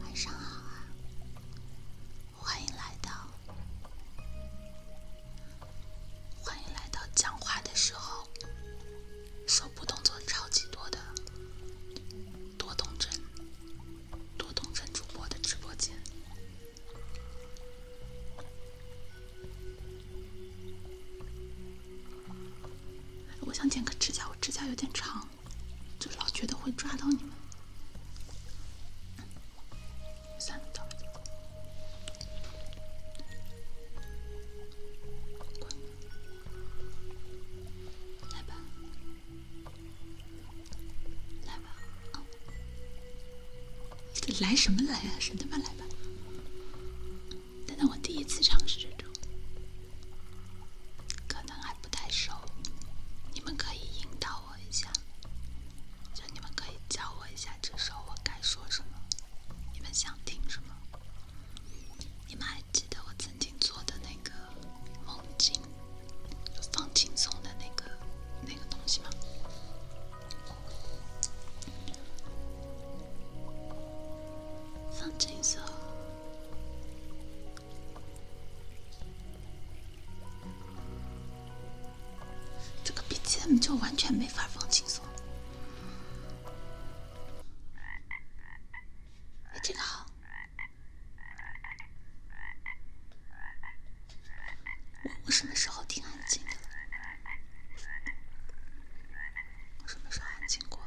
晚上好啊！欢迎来到欢迎来到讲话的时候，手部动作超级多的多动症多动症主播的直播间。我想剪个指甲，我指甲有点长。就老觉得会抓到你们，算了，走。来吧，来吧，来什么来呀？神他妈来吧。难道我第一次尝试这种？可能还不太熟，你们可以引导我一下，就你们可以教我一下这首我该说什么，你们想听什么？你们还记得我曾经做的那个梦境，放轻松的那个那个东西吗？放轻松。这个 BGM 就完全没法放轻松。哎，这个好。我我什么时候听？安静的了？我什么时候安静过了？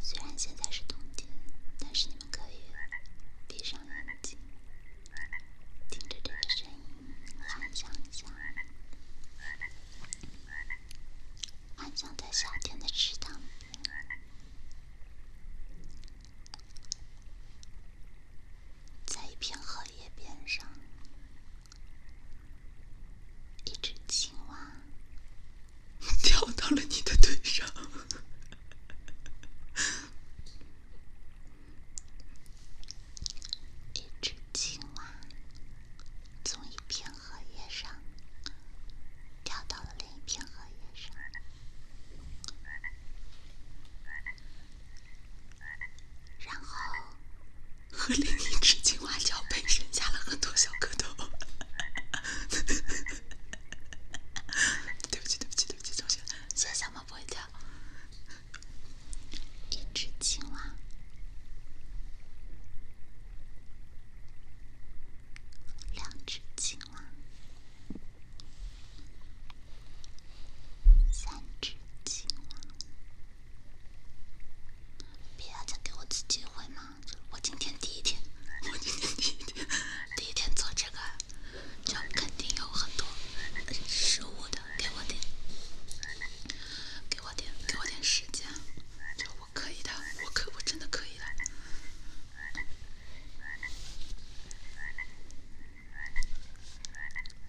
虽然现在是冬天，但是你们可以闭上眼睛，听着这个声音，幻想一下，幻想在夏天的池塘，在一片荷叶边上。一只青蛙跳 到了你的腿上。一只青蛙从一片荷叶上跳到了另一片荷叶上。然后，和另一只青蛙交配，生下了很多小蝌蚪。哈哈哈！对不起，对不起，对不起，抱歉。小猫不会叫。一只青蛙，两只青蛙，三只青蛙。别再给我次机会嘛！我今天第一天，我今天第一天，第一天做这个，就肯定有很多失误的。给我点，给我点，给我点时间，我可以的，我可我真的可以的。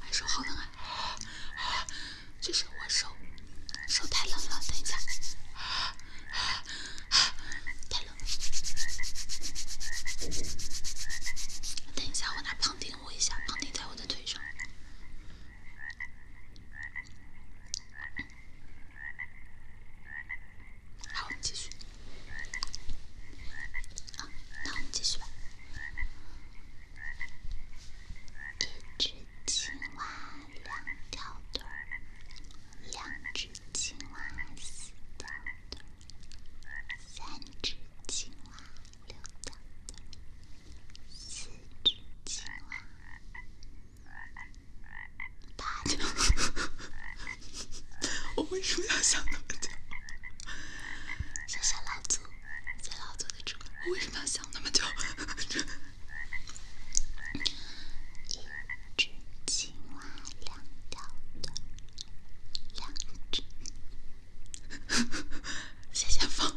哎，手好冷啊！就是我手，手太冷了。等一下，太冷了。等一下，我拿胖丁我一下，胖丁在我的腿上。好，我们继续。啊，那我们继续吧。一只青蛙两条腿，两只青蛙四条腿，三只青蛙六条腿，四只青蛙八。我为什么要想那么久？谢谢老祖，谢老祖的直播我为什么要想那么久？一只青蛙两条腿，两只。谢谢方，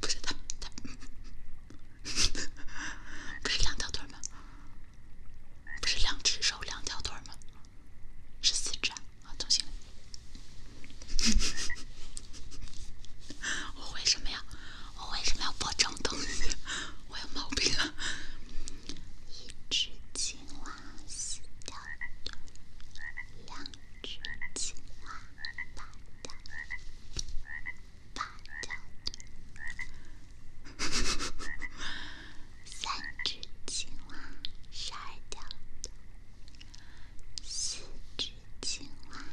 不是他不是两条腿吗？不是两只手两条腿吗？是四只啊！啊，重新。我为什么要我为什么要播这种东西？我有毛病啊！一只青蛙四条腿，两只青蛙八条腿。三只青蛙，十掉，四只青蛙，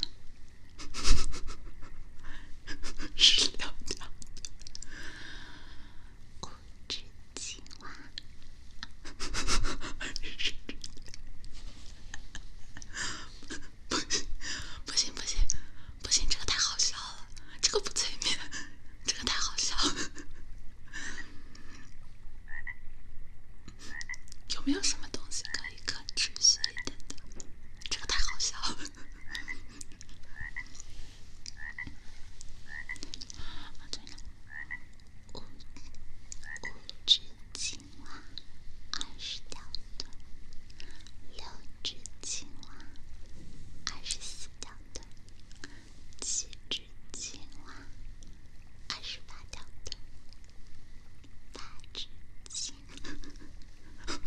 十五只青蛙，十 只。不行，不行！不行，这个太好笑了，这个不催眠，这个太好笑了。有没有什么东西可以可持续一点的？这个太好笑了。啊对了，五五只青蛙，二十条腿；六只青蛙，二十四条腿。七只青蛙，二十八条腿；八只青蛙，八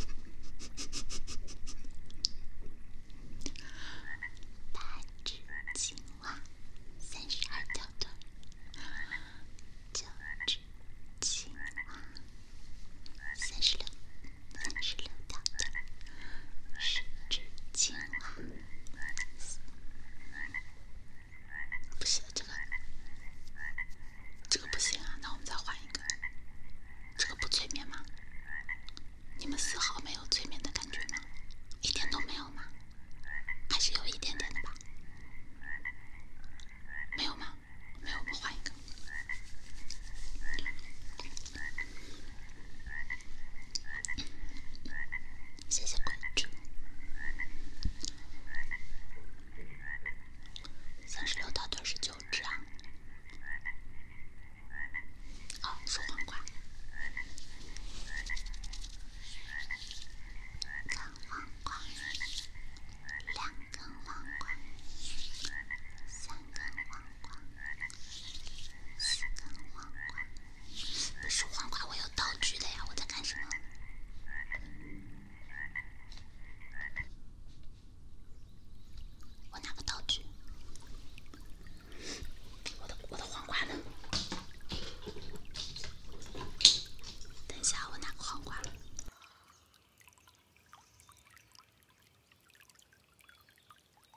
只青蛙，三十二条腿；九只青蛙，三十六。三十六到三十七，不行，这个这个不行啊！那我们再换一个，这个不催眠吗？你们丝毫没有催眠的感觉吗？一点都没有吗？还是有一点点的吧？没有吗？没有，换一个。谢谢关注。三十六到四十九只啊。好，数黄瓜。一根黄瓜，两根黄瓜，三根黄瓜。不是黄瓜，我要道具的呀！我在干什么？我拿个道具。我的我的黄瓜呢？等一下，我拿个黄瓜。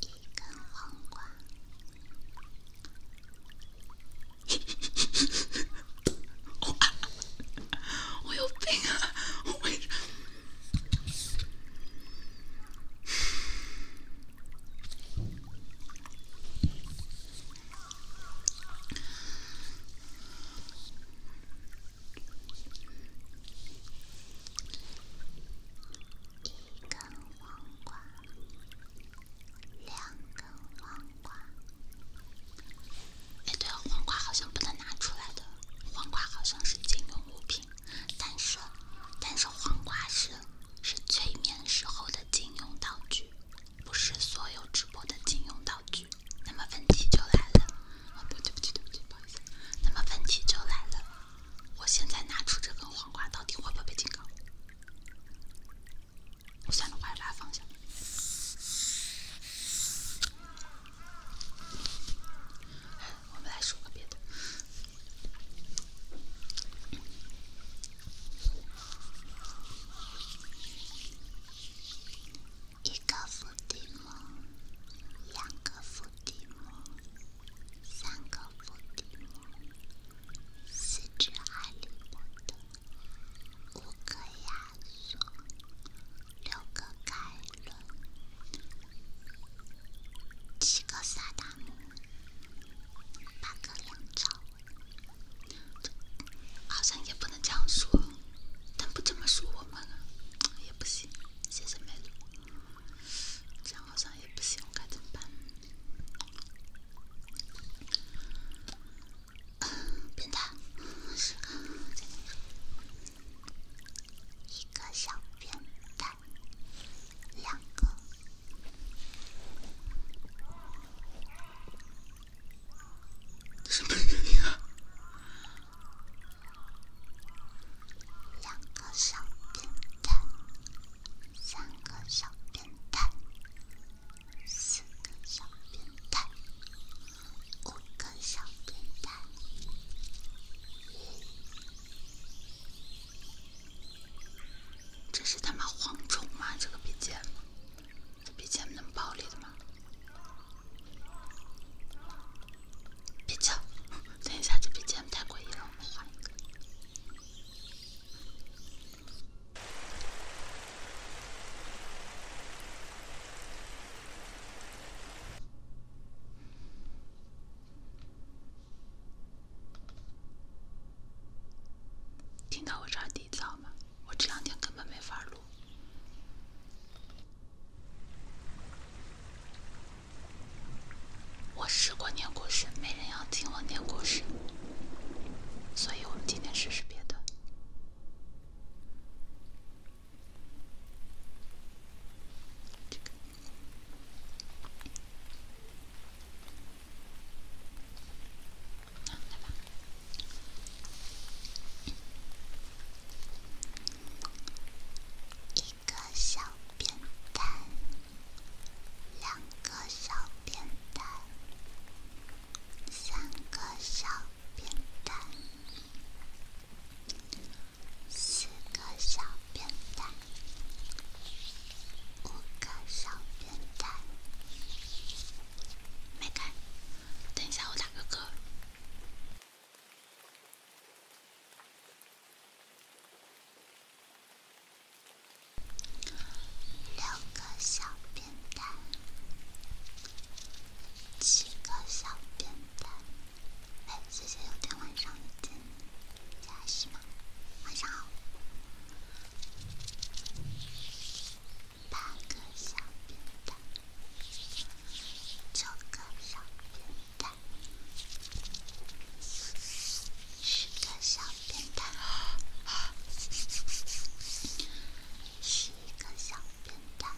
一根黄瓜。我，我有病啊！我为。一根黄瓜，两根黄瓜。哎，对了，黄瓜好像不能拿出来的。黄瓜好像是禁用物品，但是但是黄瓜是是催眠时候的禁用道具。不是所有直播的禁用道具，那么问题就来了。啊，不对不起对不起，不好意思。那么问题就来了，我现在拿出这根黄瓜，到底会不会被警告？算了，我还是把它放下。我们来说个别的。一个福蒂姆，两个福蒂姆，三个福蒂姆，四只哈利波特，五个亚索，六个盖伦，七个萨达姆，八个梁朝。这好像也不能这样说，但不这么说我们也不行。谢谢美女，这样好像也不行，该怎么办？啊，变态！十个，再来一个，一个小变态，两个。什么原因啊？两个小变态，三个小变态，四个小变态，五个小变态。这是他妈蝗虫吗？这个笔尖这 BGM 能暴力的吗？别叫！等一下，这 BGM 太诡异了。听到我这儿底噪吗？我这两天根本没法录，我试过念故事，没人要听我念故事，所以我们今天试试别的。一个小扁担，两个小扁担，三个小扁担，四个小扁担，五个小扁担，没开。等一下，我打个歌。六个小变蛋，七个小变蛋。哎，谢谢有天晚上的加戏嘛。晚上好。八个小扁担，九个小扁担，十个小扁担，十一个小扁担，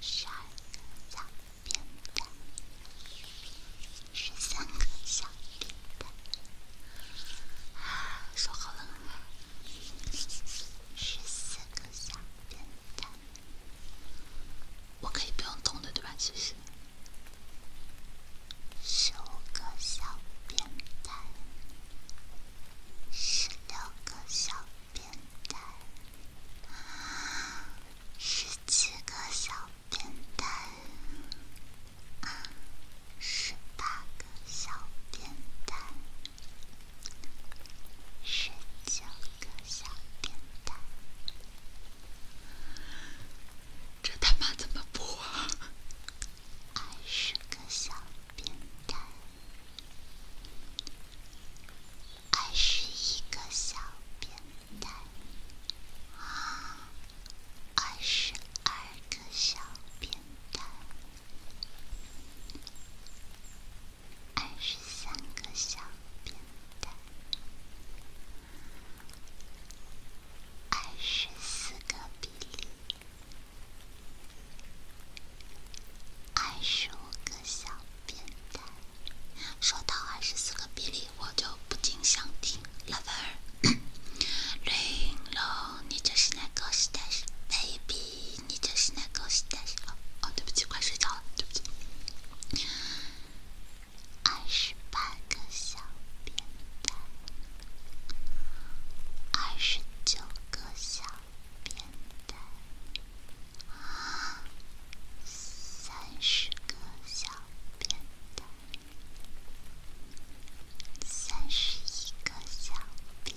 十二个小扁担，十三个小扁担。说好了。十四个小扁担，我可以不用动的，对吧？其实，十五个小扁担，十六个小扁担，啊，十七个小扁担，啊，十八个小扁担。十九个小变态，这他妈怎么播啊？二十个小变态，二十一个小变态，啊，二十二个小变态。二十个小变态，二个比例，二十个小变说到二十个比例，我就不禁想听《lover》。r a i 你就是那个时代，baby。你就是那狗屎蛋子！哦，对不起，快睡觉了，对不起。二十个小边带，二十个小边带，啊，三十个小边带，三十一个小边。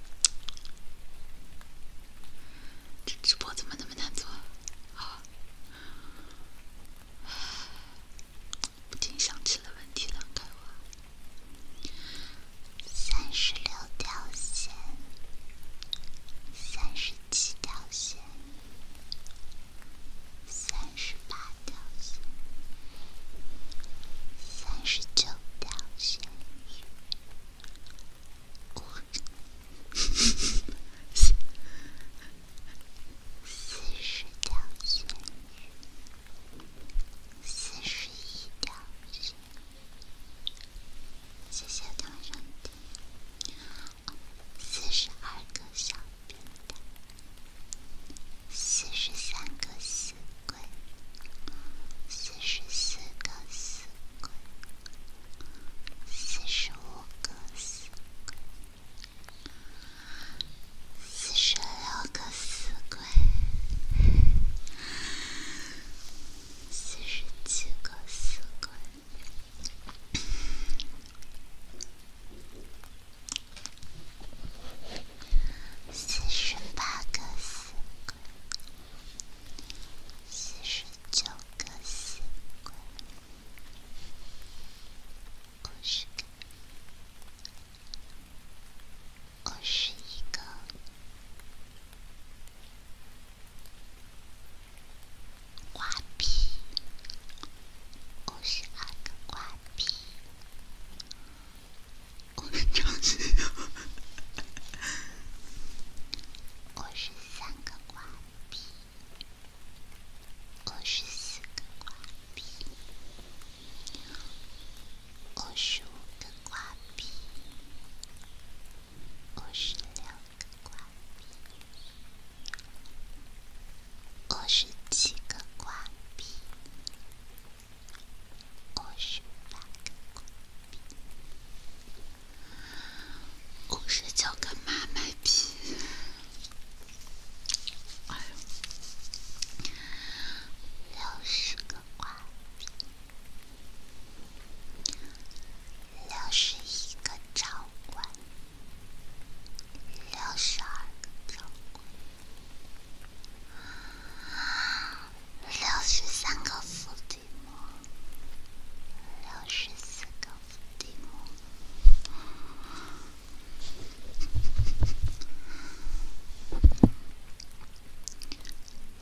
这直播怎么那么难做？啊，不禁想起了问题了，开化。三十六条线，三十七条线，三十八条线。三十九条成鱼，四十条成鱼，四十一条成鱼。谢谢四十二个小片段，四十三个。四鬼，十四个死鬼，四十五个死鬼，四十六个死鬼，四十七个死鬼，四十八个死鬼。四十九个四，五十个，五十一个瓜皮，五十二个瓜皮。我是张子悠，我是三个挂币，我是四个挂币，我是五个挂币，我是六个挂币，我是七个挂币。五十八个五十九个妈卖批，六十个瓜，六十一个掌管，六十二个掌。六十三个伏地魔六十四个伏地魔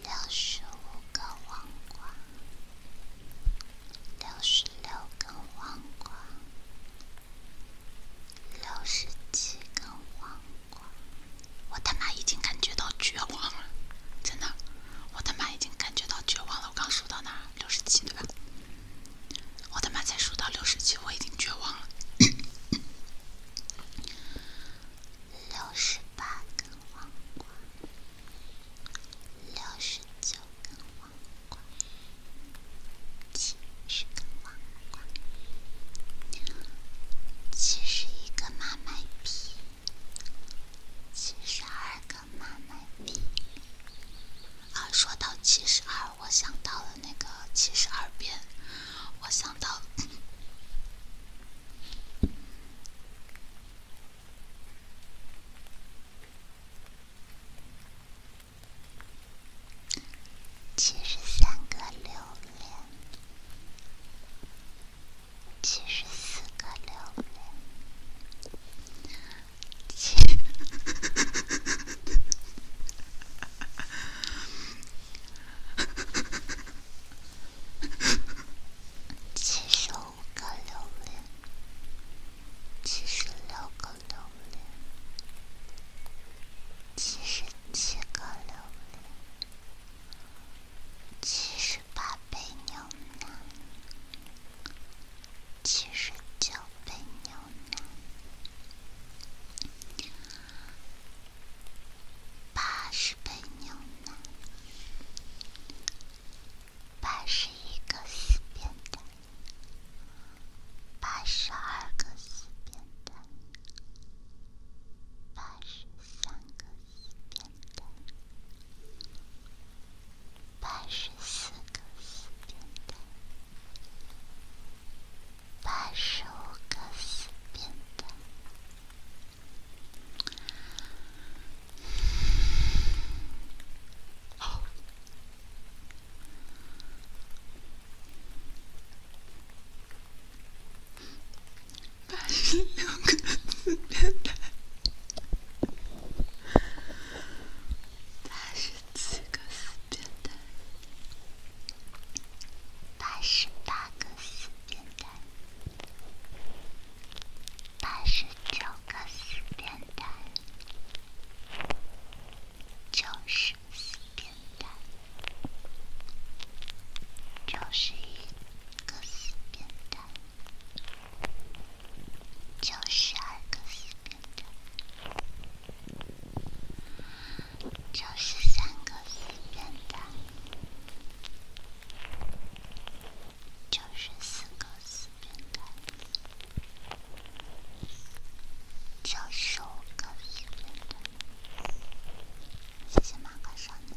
六十五根黄瓜，六十六根黄瓜，六十七根我他妈已经感觉到绝望了，真的，我他妈已经感觉到绝望了。我刚数到哪儿？六十七对吧？我他妈才数到六十七，我已经绝望了。六十八黄瓜，六十九黄瓜，七十黄瓜，七十一个七十二个马奶币。啊，说到七十二，我想到了那个《七十二变》，我想到了七十三个榴莲。七十四个榴莲，七十个七十六个七十七个七十。八杯牛奶，七十九杯牛奶，八十杯牛奶，八十一个四边的，八十二个四边的，八十三个。四边八十四个死变态八十五个死变态。八十六个死变态，八十七个死变态，八十八个死变态，八十九个死变态，九十死变态，九十。个死变的，九十二个死变态，九十三个死变态，九十四个死变态，九十五个死变态。谢谢马哥少的。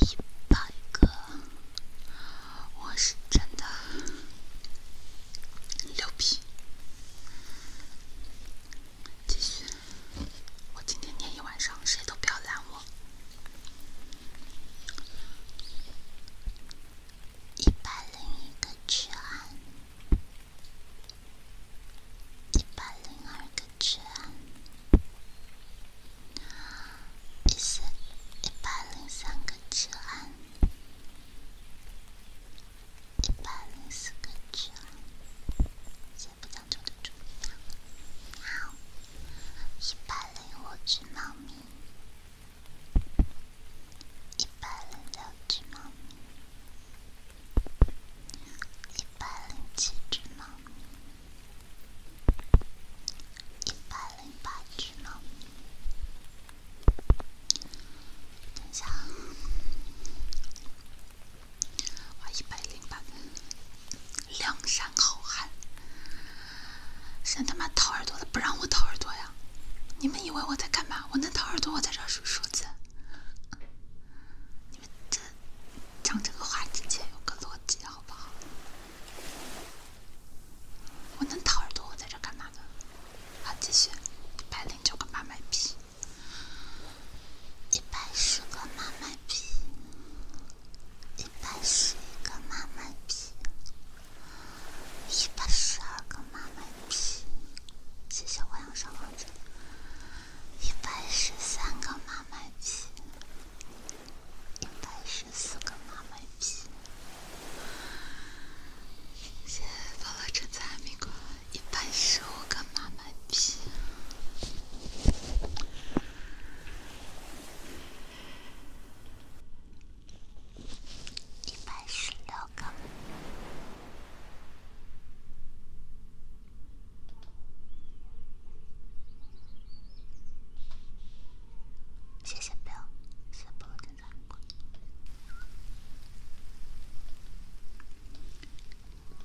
一百个，我是真的牛逼！继续，我今天念一晚上，谁都不要拦我。一百零一个之一百零二个安。一四一百零三个纸盒，一百零四个纸盒，好，一百零五只猫咪，一百零六只猫咪，一百零七只猫咪。一百零八只猫。等一下啊！哇，一百零八。梁山好汉，谁他妈掏耳朵的？不让我掏耳朵呀！你们以为我在干嘛？我能掏耳朵，我在这数数字。你们在讲这个话之前，有个逻辑好不好？我能掏耳朵，我在这干嘛呢？好，继续，一百零九个妈卖批，一百十个妈卖批，一百十一个马麦币，一百十二个马麦币，谢谢我两双猴子，一百十三个马麦币。一百十四个马满币，先放了橙子和苹果，一百十五个马满币，一百十六个。谢谢 b i l l b 点赞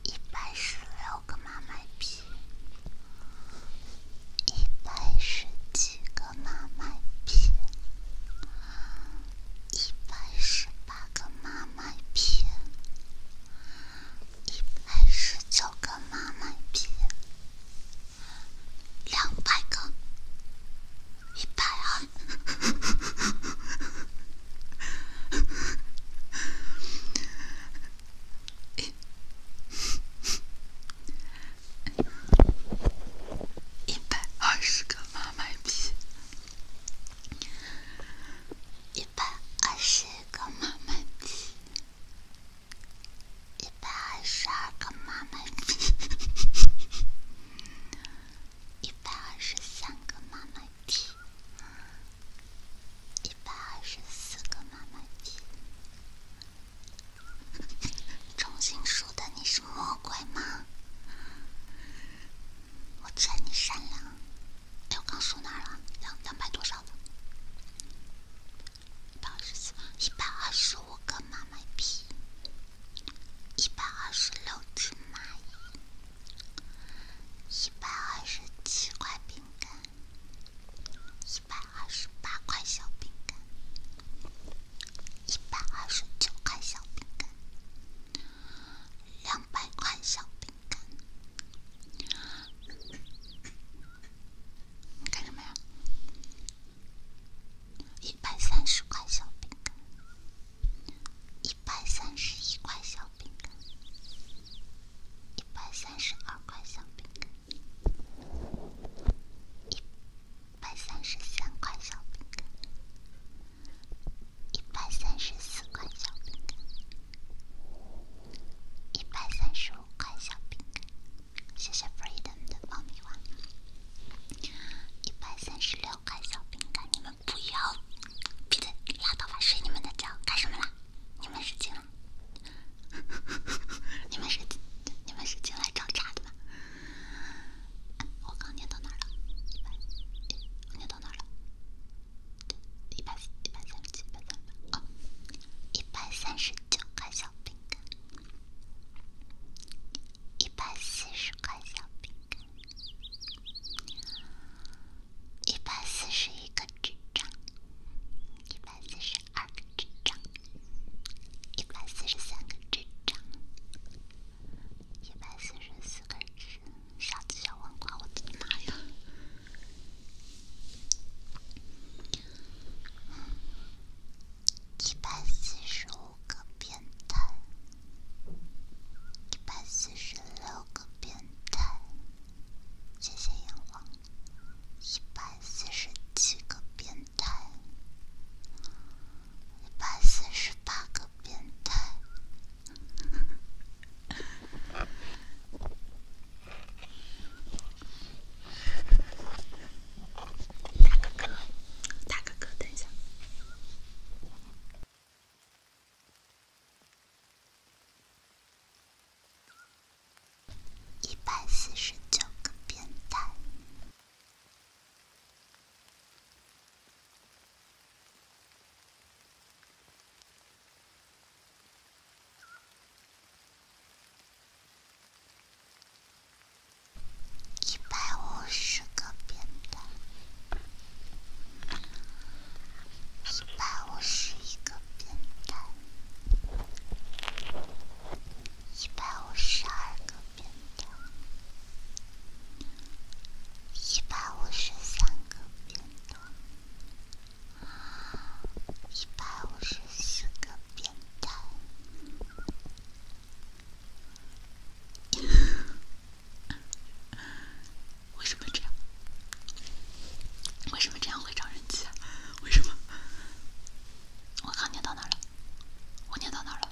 一百十六个妈卖币，一百十七个妈卖币，一百十八个妈卖币，一百十九个妈卖币。两百个，一百二，一百二十个马满币，一百二十个马满币。一百二十二个妈妈币，一百二十三个妈妈币，一百二十四个妈妈币。重新的，你是魔鬼吗？我劝你善良。哎，我刚说哪儿了？两两百多少了？一百二十四，一百二十五个妈妈币，一百二十六只蚂蚁，一百二十七块饼干，一百二十八块小饼干，一百二十九块小饼干，两百块小饼干。干什么呀？一百三十块小饼干，一百三十一块小饼干，一百三十二块小饼干，一百三十三块小饼干，一百三十四块小饼干，一百三十五块小饼干。谢谢 Freedom 的爆米花，一百三十六块小饼干，你们不要！闭嘴！拉倒吧，睡你们的觉干什么啦？你们是进来？你们是你们是进来找茬的吧？我刚念到哪了？一百，我念到哪了？一百三，十七，一百三十八，一百三十九块小饼。一百四十块小饼干，一百四十一个纸张，一百四十二个纸张，一百四十三个纸张，一百四十四根纸，啥子小黄瓜？我的妈呀！一百四十五个变态，一百四十六个变态，谢谢阳光，一百四十七个变态，一百四十八个变态。大哥哥，大哥哥，等一下，一百四十九个变态。一百五十个变态，一百五十一个变态，一百五十二个变态，一百五十三个变态，一百五十四个。变态。为什么这样？为什么这样会招人气啊？为什么？我刚念到哪了？我念到哪了？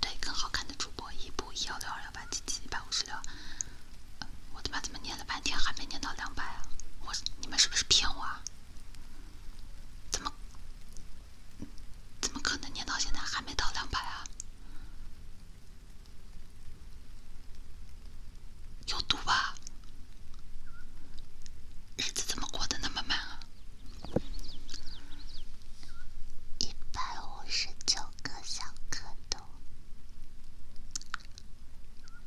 对更好看的主播，一部一幺六二幺八七七一百五十六。我他妈怎么念了半天还没念到两百啊？我你们是不是骗我啊？怎么？怎么可能念到现在还没到两百啊？有毒吧？日子怎么过得那么慢啊？一百五十九个小蝌蚪，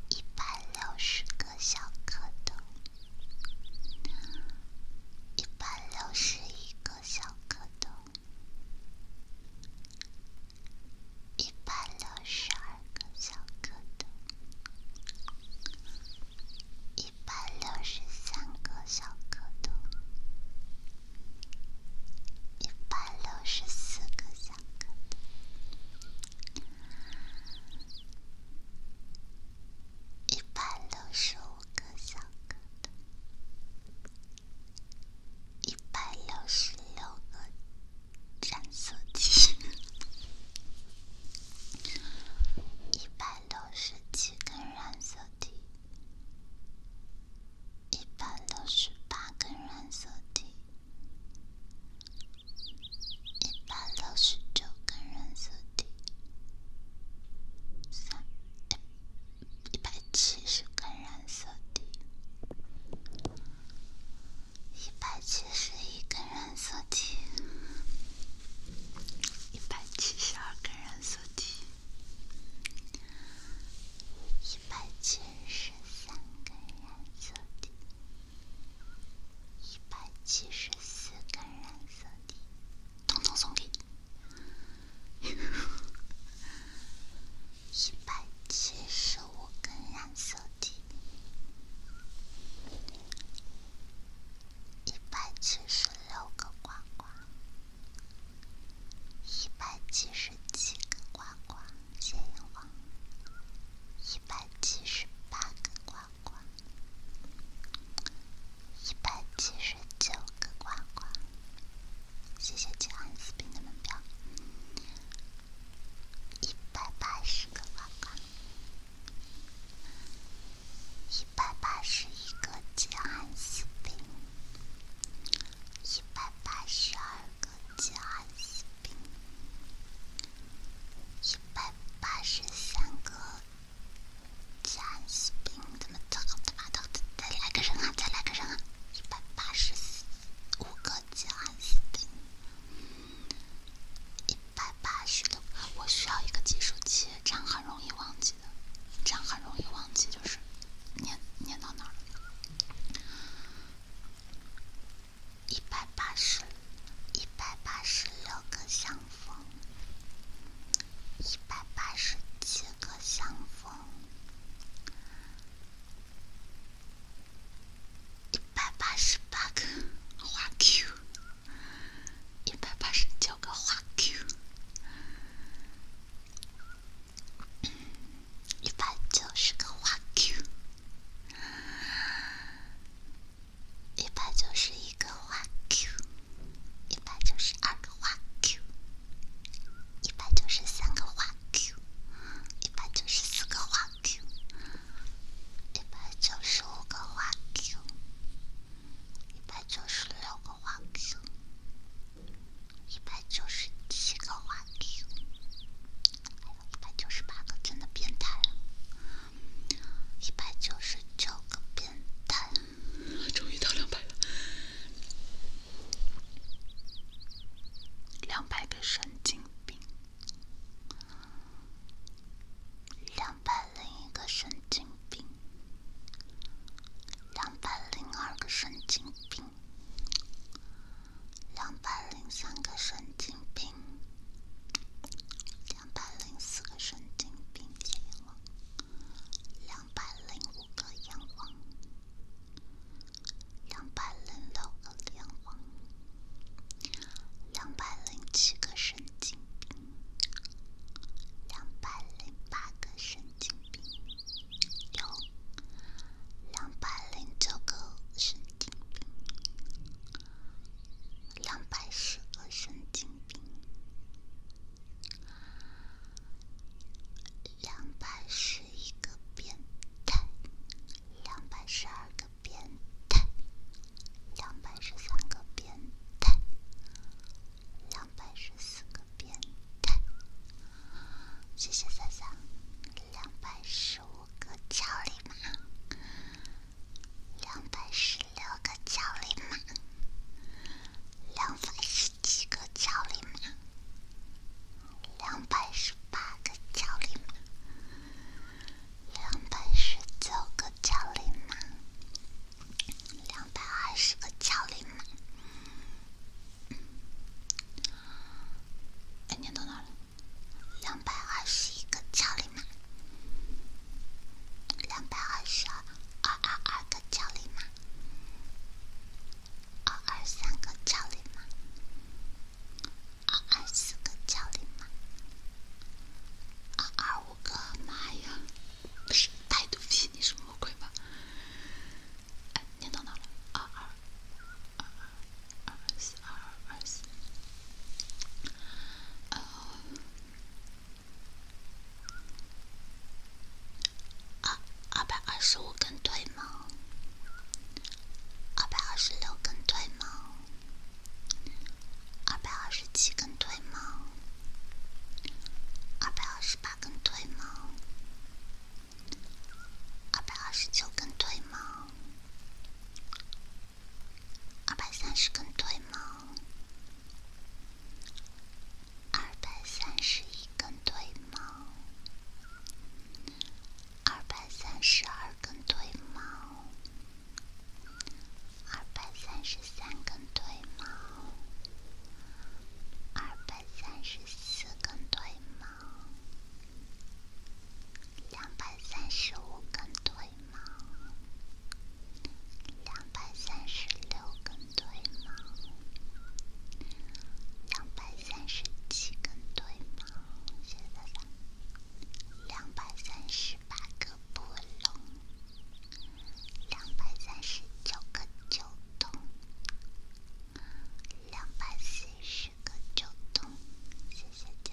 一百六十个小蝌蚪。一百六十一个小蝌蚪，一百六十二个小蝌蚪，一百六十三个小蝌蚪，一百六十四个小蝌蚪。一百六十五个小格的，一百六十六个染色体，一百六十七根染色体，一百六十八根染色体。一百六十九根染色体，三一一百七十根染色体，一百七十一根染色体，一百七十二根染色体，一百七十三根染色体。一百七十四根染色体，统统送给你。一百七十五根染色体，一百七十六个瓜瓜，一百七十七个瓜瓜，谢应瓜，一百七十八个瓜。一百七十九个呱呱，谢谢吉安斯兵的门票。一百八十个呱呱，一百八十一个吉安斯兵，一百八十二个吉安斯兵。一百八十三个加尸兵，怎么草他妈的，再来个人啊，再来个人啊！一百八十五个加尸兵，一百八我需要一个计数器，这样很容易忘记的，这样很容易忘记，就是念念到哪儿了。一百八十，一百八十六个相逢，一百八十七个相逢，一百八十八个花 Q，一百八十九个花 Q，一百九十个花 Q。一百九十一个花 Q，一百九十二个花 Q，一百九十三个花 Q，一百九十四个花 Q，一百九十五个花 Q，一百九十六个花 Q，一百九十七个花 Q，还有一百九十八个，真的变态了。一百九十个变态，终于到两百了。两百个神经病，两百零个神经病，两百零个神经病，两百零三个神经病。两百零四个神经病眼王，两百零五个眼王，两百零六个眼王，两百零七个神经，两百零八个神经病，有两百零九个神经病。两百十个神经病，两百十一个变态，两百十二个变态，两百十三个变态，两百十四个变态。谢谢三三，两百十五个超马。两百十六个焦里马，两百十七个焦里马，两百十八个焦里马，两百十九个焦里马，两百二十个焦里马。哎，念到哪了？两百二十一个焦里马。两百二十二二二二个教练吗？二二三个教练吗？二二四个教练吗？二二五个？妈呀！太逗逼！你是魔鬼吗？念到哪了？二二二二二四二二四。二二百二十五根腿吗？二百二十六根腿吗？二百二十七根腿吗？二百二十八根腿吗？二百二十九根腿吗？二百三十根腿吗？二百三十一根腿吗？二百三十二根腿毛二百三十三根腿毛二百三十四根腿毛两百三十五根腿。对吗？两百三十六根对吗？两百三十七根对吗？谢谢大家。两百三十八个波龙，两百三十九个九洞，两百四十个九洞，谢谢家。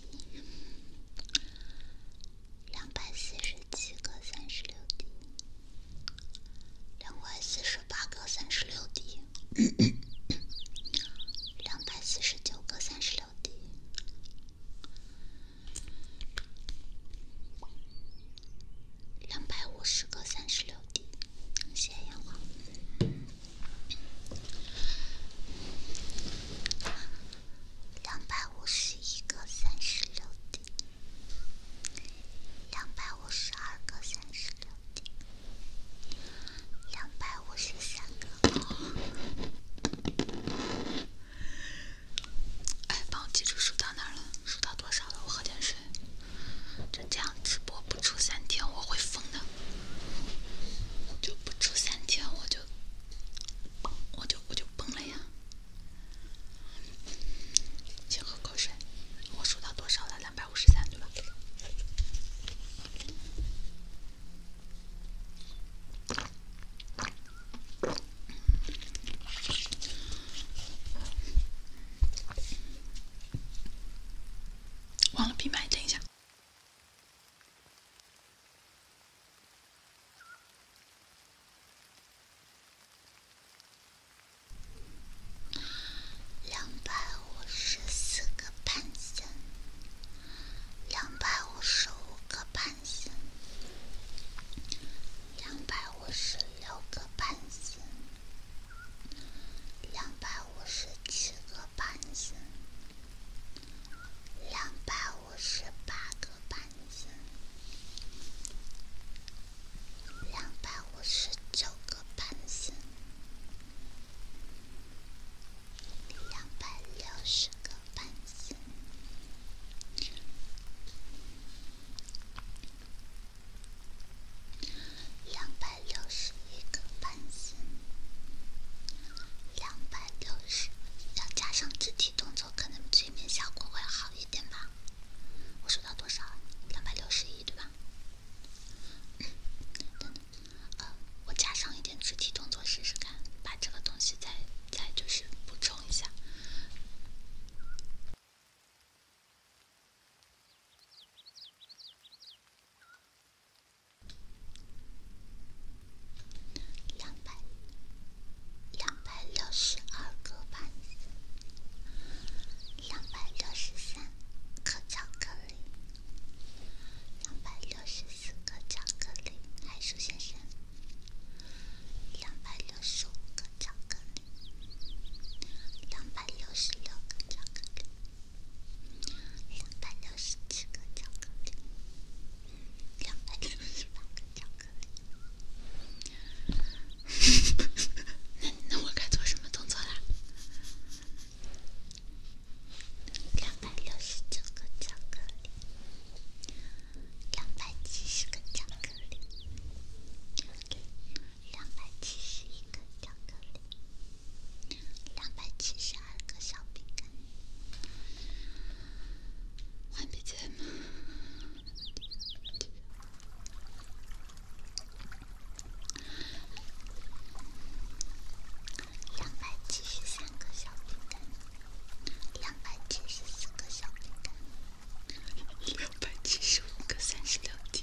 两百四个三十滴，两百四个三十滴，两百四个三十滴，两百五十个三十六滴，谢阳光。两百五个三十点，两百五个三十点，两百五个。哎，帮我记住数到哪了，数到多少了？我喝点水。就这样直播不出三天，我会疯的。就不出三条，我就我就我就崩了呀！先喝口水，我数到多少了？两百五十三，对吧？忘了闭麦，等一下。两百五十四个半身，两百五十五个半身，两百五十六个半身，两百五十七个半身。两百五十八个班两百五十九个班子，两百六十个班子，两百六十一个班子。两百六要加上肢体动作，可能催眠效果会好一点吧。我数到多少啊？两百六十一，对吧？等我加上一点肢体动作试试看，把这个东西再再就是补充一下。两百两六十二个盘子，两百六十巧克力，两百六十巧克力，鼹鼠先生，两百六十巧克力，两百六十巧克力，两百。六十七个巧克力，两百六个巧克力。那那我该做什么动作啦？两百六个巧克力，两百七个巧克力，两百七个巧克力，两百七了个小饼干，换笔尖吗？两百七十三个小饼干，两百七十四个小饼干，两百七十五个三十六滴。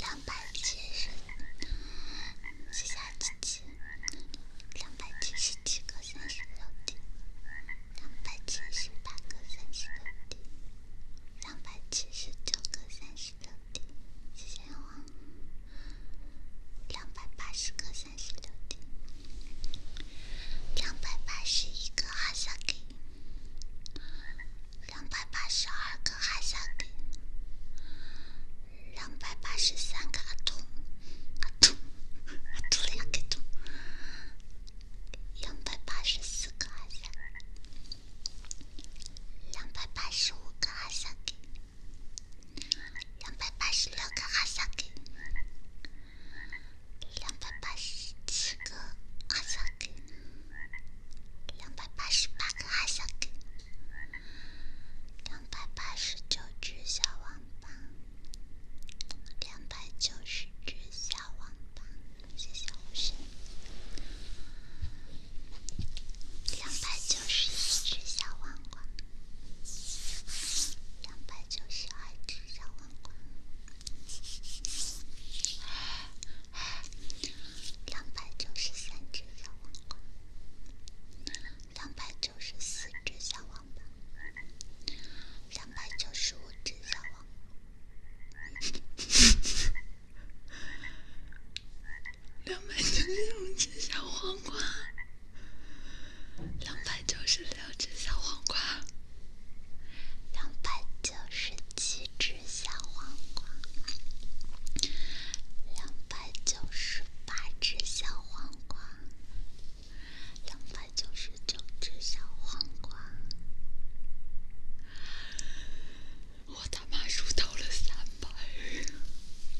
两百七十，谢谢姐姐。两百七个三十六滴，两百个三十六滴，两百九个三十六滴，谢谢我。两百八十个三十六点，两百八十一个哈桑给，两百八十二个哈桑给，两百八十三个阿童，阿童，阿童两个童，两百八十四个阿桑，两百八十五个阿萨给。两百八个哈桑根，两百八个哈桑根，两百八个哈桑根，两百八只小王八，两百九十只小王八，谢谢护身，两百九一只小王八。两百九十二只小网虫，两百九十三只小网虫，两百九十四只小网虫，两百九十五只小网。两百九十五只小黄瓜，两百九十六只小黄瓜，两百九十七只小黄瓜，两百九十八只小黄瓜，两百九十九只小黄瓜。我他妈数到了三百。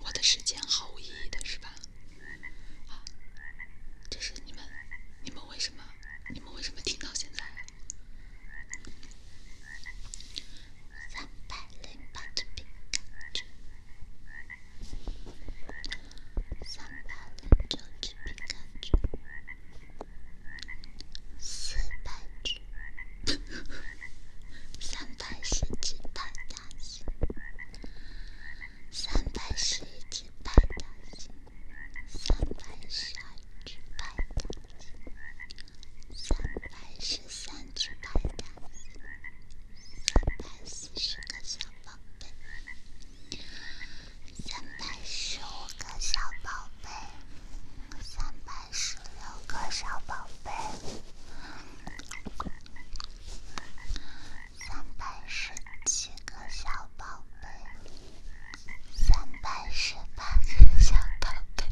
我的时间毫无意义的是吧？啊，这是你们，你们为什么，你们为什么听到现在？三百零八的皮卡丘。三百只鸡皮卡鸡，四百只，三百是一百大鸡，三百是一百大鸡，三百是一百大鸡，三百是。三只白三百四十个小宝贝，三百四十五个小宝贝，三百四十六个小宝贝，三百四十七个小宝贝，三百四十八个小宝贝，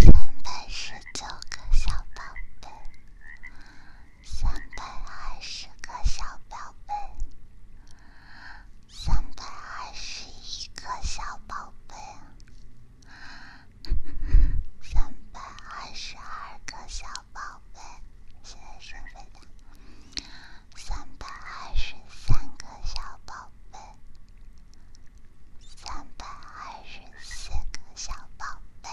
三百四十九个小宝贝。三百二十个小宝贝，三百二十一个小宝贝，三百二十二个小宝贝，谢生们，三百二十三个小宝贝，三百二十四个小宝贝。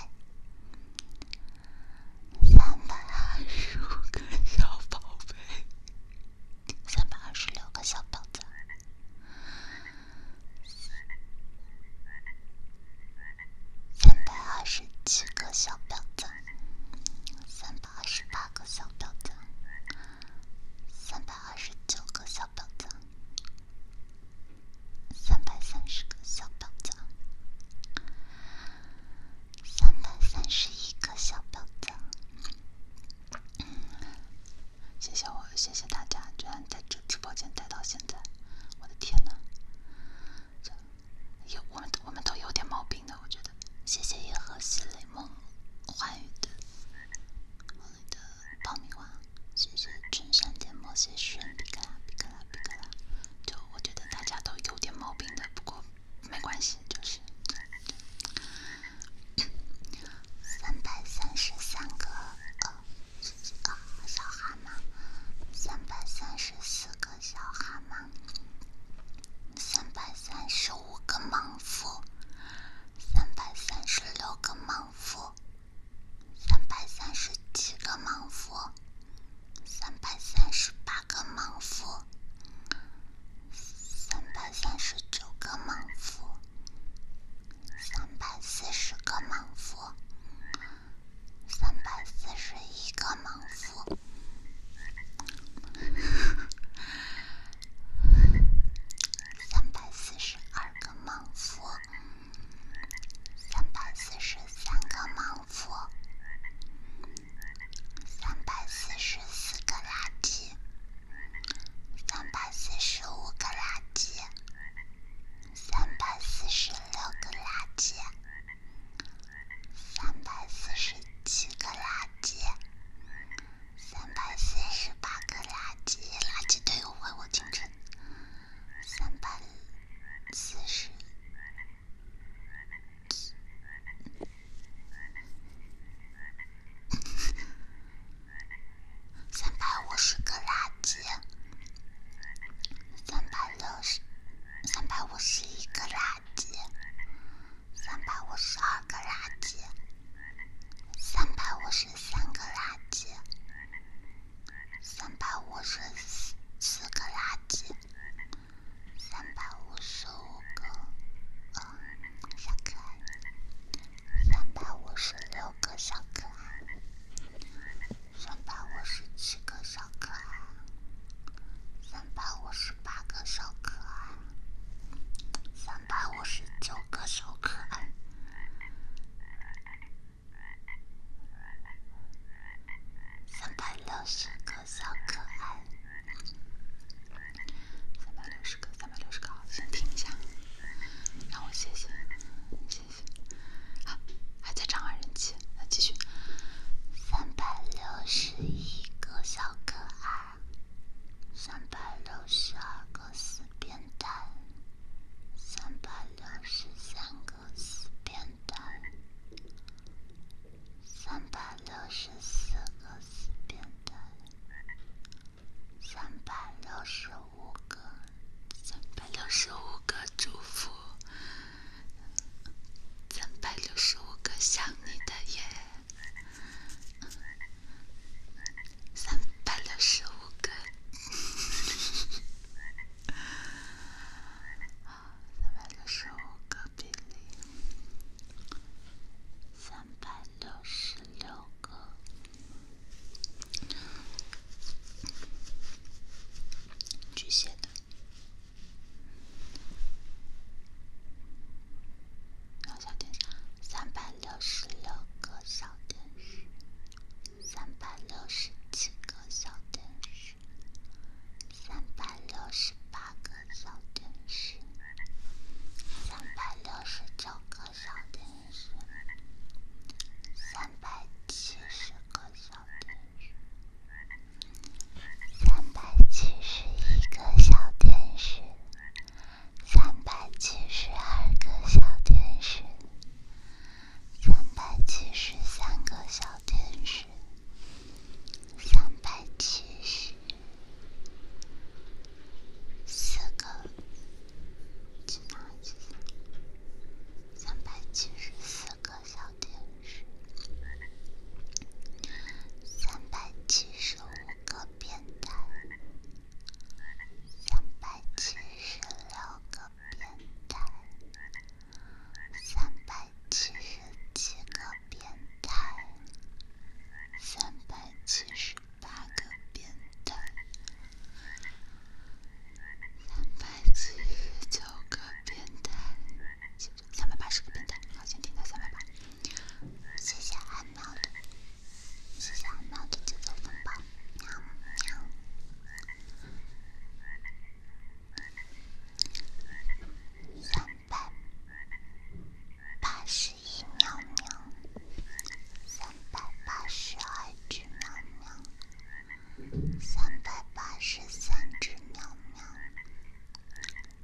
三百二十五个小宝贝，三百二十六个小表赞，三百二十七个小表赞，三百二十八个小表赞，三百二十九个小表赞。三百三十个小表赞，三百三十一个小表赞，谢谢我，谢谢大家，居然在这直播间待到现在，我的天哪，有我们，我们都有点毛病的，我觉得，谢谢银河系美梦幻宇的，梦里的爆米花。谢谢春山点毛线圈，比克拉比克拉比克拉。就我觉得大家都有点毛病的，不过没关系，就是三百三十三个小蛤蟆三百三十四个小蛤蟆三百三十五个莽夫，三百三十六个莽夫。三百三十七个莽夫，三百三十八个莽夫，三百三十九个莽夫，三百四十个莽夫，三百四十一个莽夫，三百四十二个莽夫。三百四十三个莽夫，三百四十四个垃圾，三百四十五个垃圾，三百四十六个垃圾，三百四十七个垃圾，三百四十八个垃圾，垃圾队伍回我京城。三百四十三百五十个垃圾，三百六十，三百五十一个垃圾，三百五十二个垃圾，三百五十三个垃圾。三百五十四四个垃圾，三百五十五个小可爱，三百五十六个小可爱，三百五十七个小可爱，三百五十八个小可爱，三百五十九个小可爱。三百六十个小可爱，三百六十个，三百六十个，先听一下，让我歇歇，歇歇。好，还在涨人气，那继续。三百六十一个小可爱，三百六十二个死变态，三百六十三个。四边带，三百六十四个四边带，三百六个，三百六个祝福，三百六个想你的夜，三百六个。好，三百六十五个比三百六十六个巨蟹的，然后小灯，三百六十六个小灯。三百六十七个小天使，三百六十八个小天使，三百六十九个小天使，三百七十个小天使，三百七十一个小天使，三百七十二个小天使，三百七十三个小。电视，三百七个，几吗？三个小电视，三百七个变态，三百七十六个。变态，三百七十七个变态，三百七十八个变态，三百七十九个变态，三百八十个变态，好像听到三百八。谢谢阿喵的，谢谢阿喵的节奏风暴。三百八十一喵喵，三百八十二只喵喵，三百八十三只喵喵，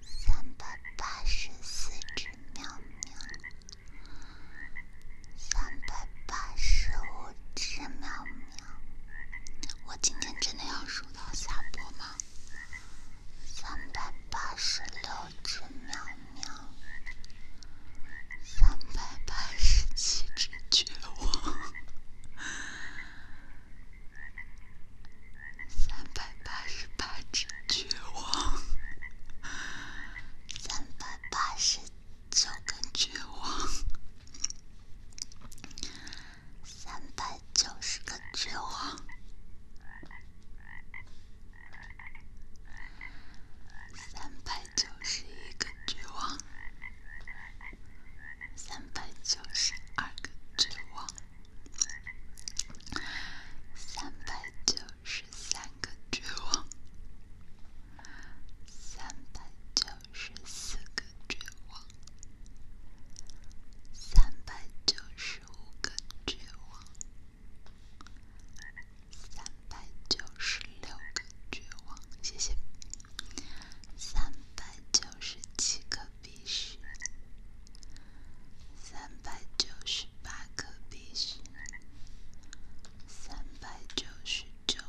三百八十四只喵喵，三百八十五。只喵喵，我今天真的要数到下播吗？三百八十六只喵喵，三百八十七只绝望，三百八十八只绝望，三百八十九根绝望。三百九十个绝望，三百九十二个绝望，三个绝望，三百九。九十个绝望，三百九个绝望，三百九个绝望，谢谢。三百九十七个必须，三百九十八个必九。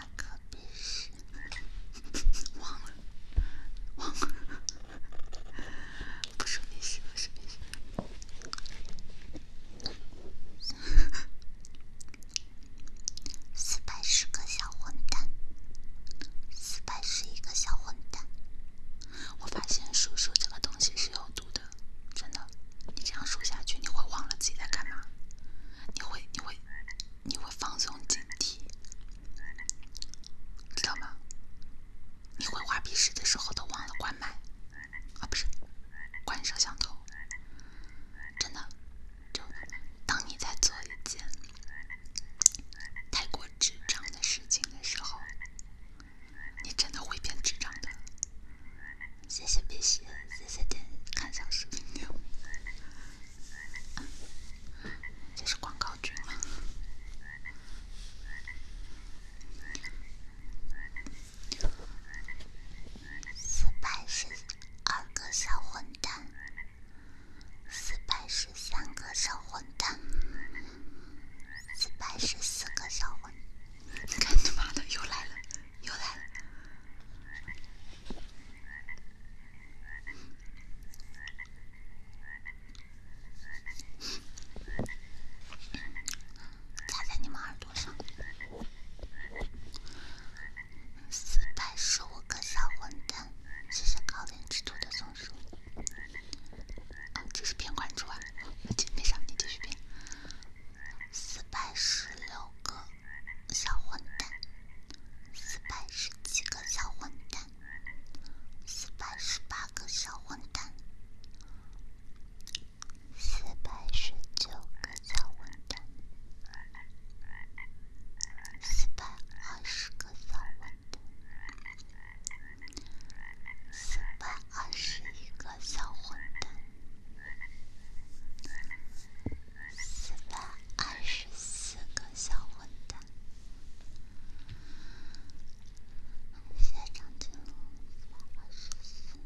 哪个必忘了，忘了。不是不是？不是。四百十个小混蛋，四百十一个小混蛋。我发现数数这个东西是有毒的，真的。你这样数下去，你会忘了自己在干嘛？你会，你会。你会放松警惕，知道吗？你会画笔试的时候都忘了关麦，啊，不是，关摄像头。真的，就当你在做一件太过智障的事情的时候，你真的会变智障的。谢谢鼻息，谢谢点看小视频。这是广告君吗？四百十二个小混蛋，四百十三个小混蛋，四百十四个小混。你看你妈的，又来了。又来了！在你们耳朵上。四百十五个小混蛋，谢谢高颜值兔的松鼠。这是骗关注啊！请别上，你继续四百十六个小混蛋。四百十个小混蛋，四百十个小混蛋，四百十个小混蛋，四百二个小混蛋，四百二个小混蛋。四百二个小混蛋，谢谢张静。四百二十四，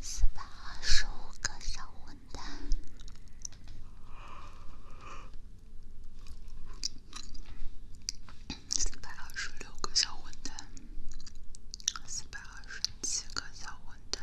四百个小混蛋，四百二个小混蛋，四百二个小混蛋。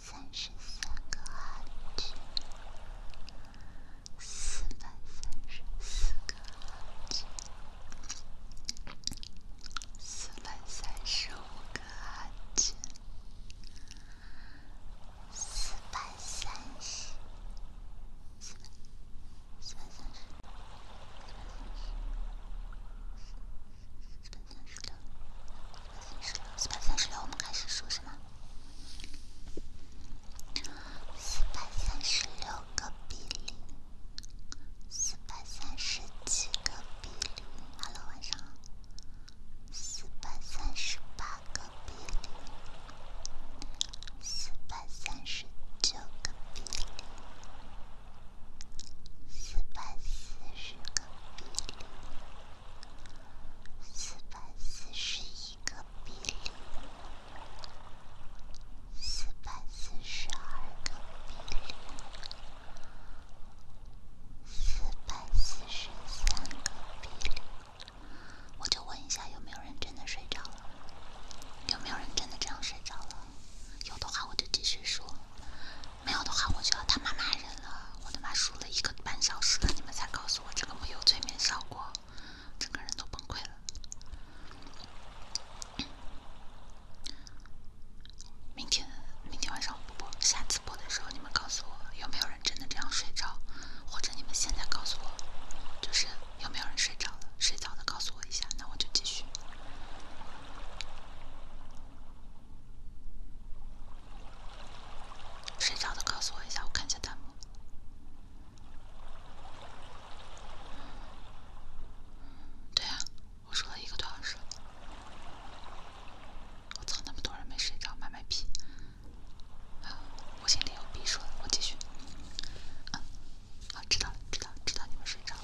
三十三个按键，四百三十四个按键，四百三十五个按键，四百三十，四百，四百三十，四百三十，四百三十个。四十六，四百三十六，我们开始数，是吗？四百三十六个比例，四百三十七个比例哈喽，晚上好。四百三十八个比例，四百三十九个比例，四百四十个比例。四百四个比例，四百四个比例，四百四个比例。我就问一下，有没有人真的睡着了？有没有人真的这样睡着了？有的话，我就继续说。没有的话，我就得他妈骂人了！我他妈输了一个半小时了，你们才告诉我这个没有催眠效果，整个人都崩溃了。明天明天晚上我不播，下次播的时候你们告诉我有没有人真的这样睡着，或者你们现在告诉我，就是有没有人睡着了？睡着的告诉我一下，那我就继续。睡着的告诉我一下，我看一下弹幕。对啊，我说了一个多小时了。我操，那么多人没睡着，买买皮。我心里有逼数了，我继续。嗯，好，知道了，知道，知道你们睡着了，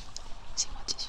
行，我继续。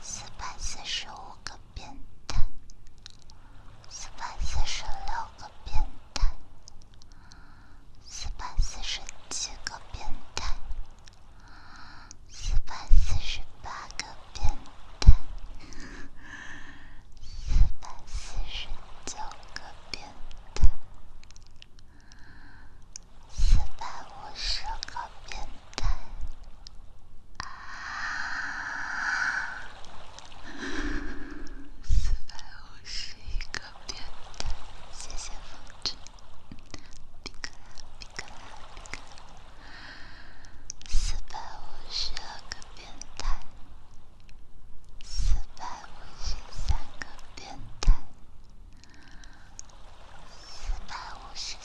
四百四十五个变态，四百四十六个变态，四百四十七个变态，四百四十八个变态，四百四十九个变态。四百五十个变态，啊！四百五十一个变态，谢谢风筝，比克拉，比克拉，比克拉。四百五十二个变态，四百五十三个变态。四百五十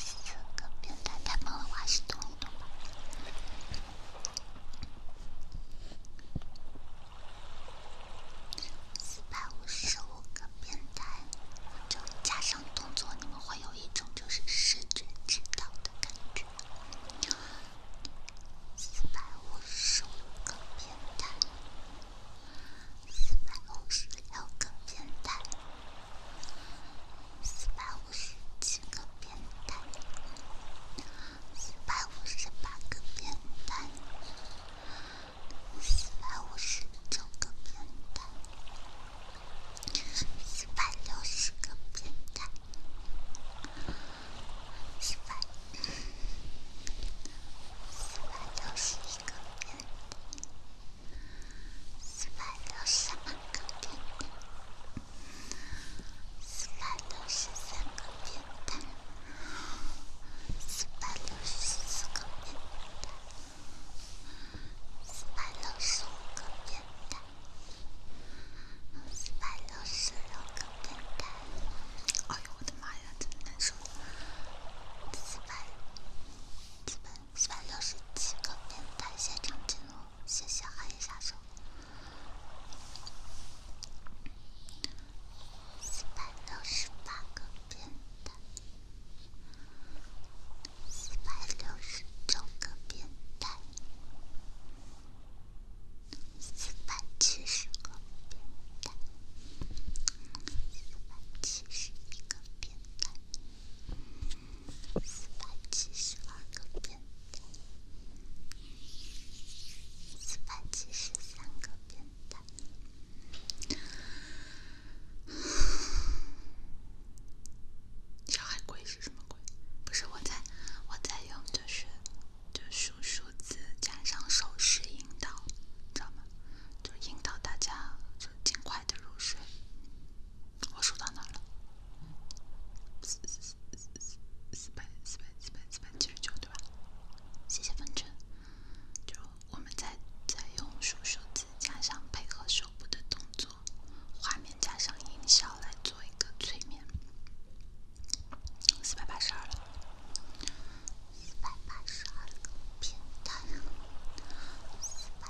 个变态，咱们来画一动一动吧。四百五个变态，就加上动作，你们会有一种就是神知道的感觉。四百五个变态，四百五个变态。四百五十七个变态，四百五十八个变态，四百五十九个变态，四百六十个变态，四百四百六十一个变态。四百六个笨蛋，四百六个笨蛋，四百六个笨蛋，四百六个笨蛋，四百六个笨蛋。哎呦，我的妈呀，真难受！四百，四百。四百六十七个变态现场记录，谢谢寒夜杀手。四百六十八个变态，四百六十九个变态，四百七十个变态，四百七十一个变态。四百七十万个边的，四百七十三个边的。小海龟是什么龟？不是我在，我在用着学，就数数字加上手势引导，知道吗？就引导大家就尽快的入睡。我数到哪了？四四四四四百四百四百四百七十九，对吧？谢谢风筝。就我们再再用数数字加上配合手部的动作，画面加上音效来做一个催眠。四百八十二了。四百八十二个平台四百。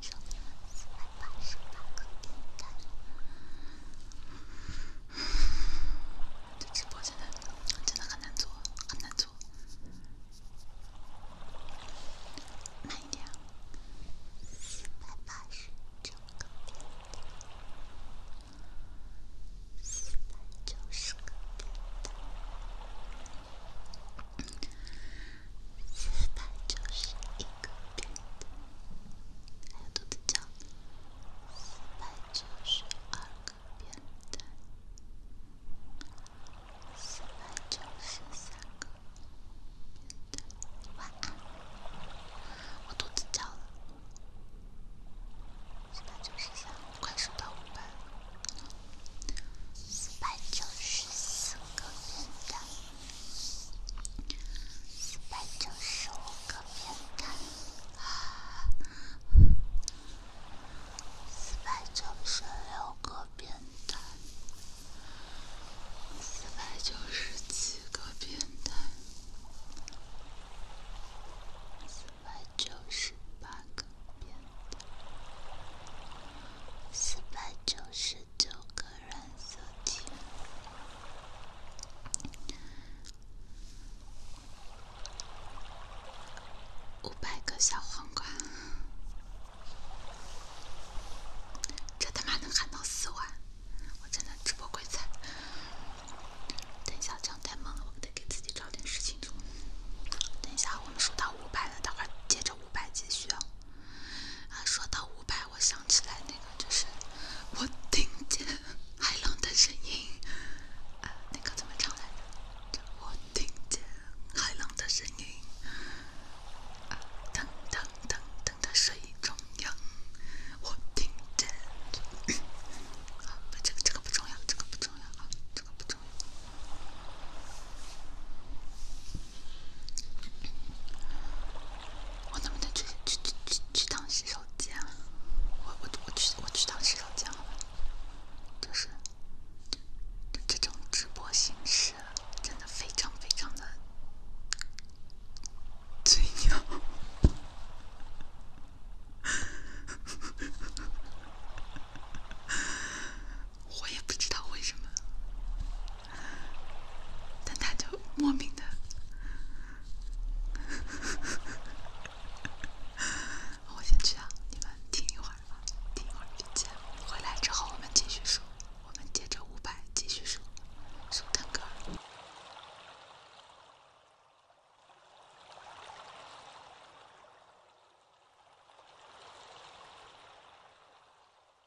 四百八十万个点赞。这直播现在真的很难做，很难做。慢一点。四百八十九个点赞。四百九十个点赞。四百九十个边的，还有兔子叫。四百九个边的，四百九个边的，晚安，我肚子叫了。四百九十快数到五百了。四百九十个边的。四百九个变态，四百九个变态，四百九个变态，四百九个变态，四百九十。九个染色体，五百个小黄瓜，这他妈能喊到四万？我真的直播鬼才！等一下，这样太慢了，我得给自己找点事情做。等一下，我们数到五百了，等会接着五百继续。啊，说到五百，我想起来那个，就是我听见海浪的声音，啊，那个怎么唱来着？我听见海浪的声音，啊，腾腾腾腾的水中鸯，我听见。啊，这个这个不重要，这个不重要啊，这个不重要。我能不能去去去去去趟洗手间？我我我去我去趟洗手间了。就是，这这种直播形式真的非常非常的嘴鸟。我也不知道为什么。但他就莫名的，我先去啊，你们听一会儿吧，听一会儿就见。回来之后我们继续说，我们接着五百继续说，说蛋哥。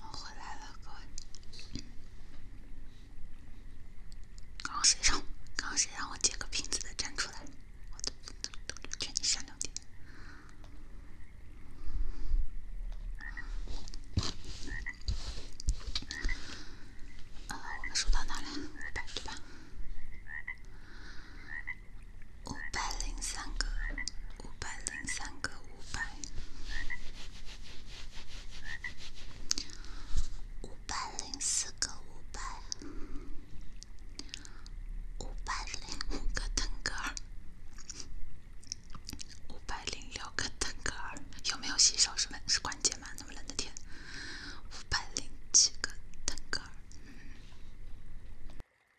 我回来了，各位。刚刚谁让？刚刚谁让我借个瓶子的站出来？我都都都劝你善良点。呃，我们数到哪了？对吧？对吧？五百零三个，五百零三个，五百，五百零四个，五百，五百零五个腾格尔，五百零六个腾格尔，有没有洗手？什么是关节吗？那么冷的天，五百零七个腾格尔。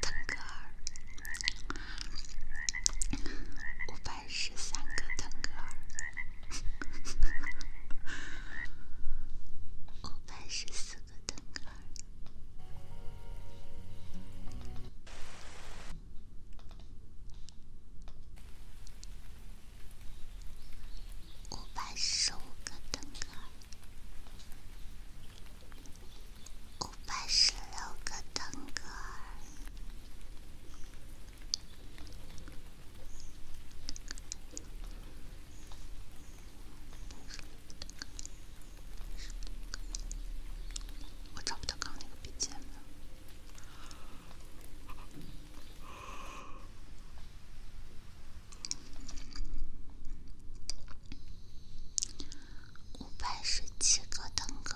腾格尔，五百十三个腾格尔，五百十四个腾格尔，五百十五个腾格尔。五百十六个腾格尔，我找不到刚刚那个笔尖了。五百十七个腾格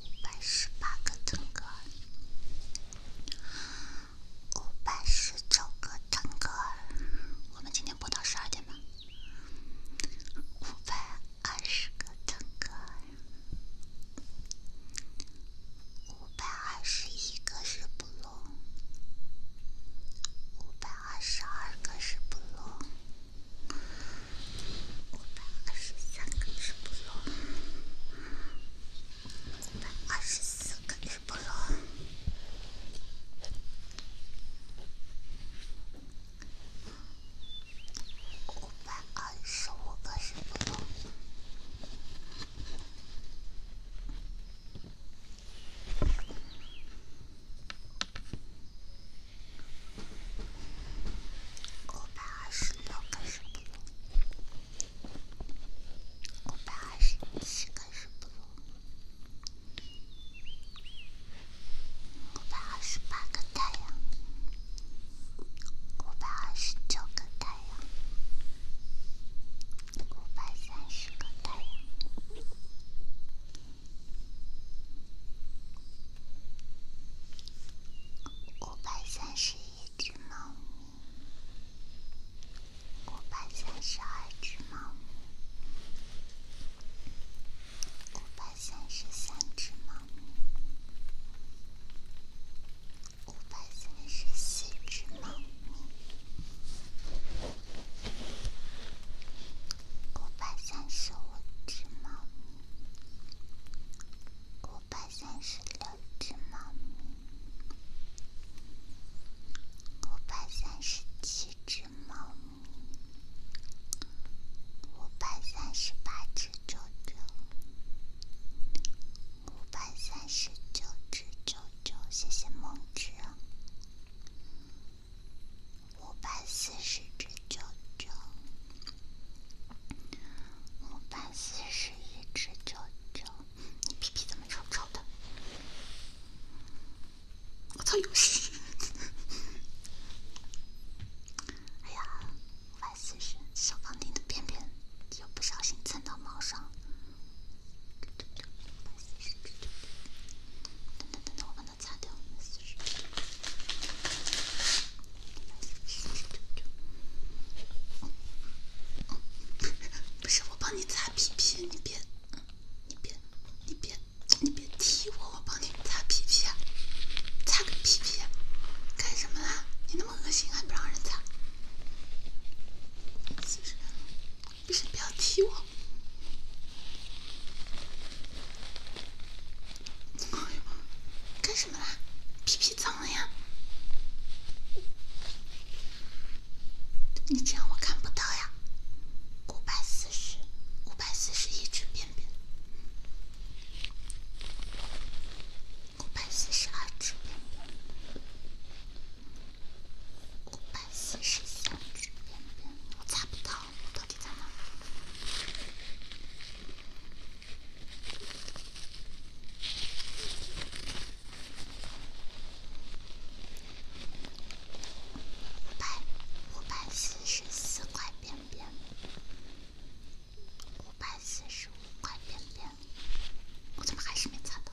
五百十八个腾格五百十九个腾格我们今天播到十二点吗？五百二十个腾格五百二十一个是不漏，五百。二百二十二个是菠萝，五百二十三个是菠萝，五百二十四个是菠萝，五百二十五个是菠萝。五百二十六个石窟，五百二十七个石窟，五百二十八个太阳，五百二十九个太阳。五百三十个太阳，五百三只猫咪，五百三只猫咪，五百三只猫咪，五百三只猫咪。五百三只猫咪，五百三只猫咪，五百三只猫咪，五百三只啾啾，五百三只啾啾，谢谢梦之。五百四十只啾啾，五百四十一只啾啾，你屁屁怎么臭臭的？我操有戏！哎呀，五百四十，小胖丁的便便又不小心蹭到猫上等等等等，我帮他擦掉我们四十。不是，我帮你擦屁屁，你别，你别，你别，你别踢我，我帮你擦屁屁，擦个屁屁，干什么啦？你那么恶心还不让人擦？四十。不是，不要踢我！干什么啦？屁屁脏了呀？你这样我看不到呀。五百四十，五百四十一只便便，五百四十二只便便，五百四十三只便便。我猜不到，到底在哪？五百四十四块便便，五百四十五块便便，我怎么还是没猜到？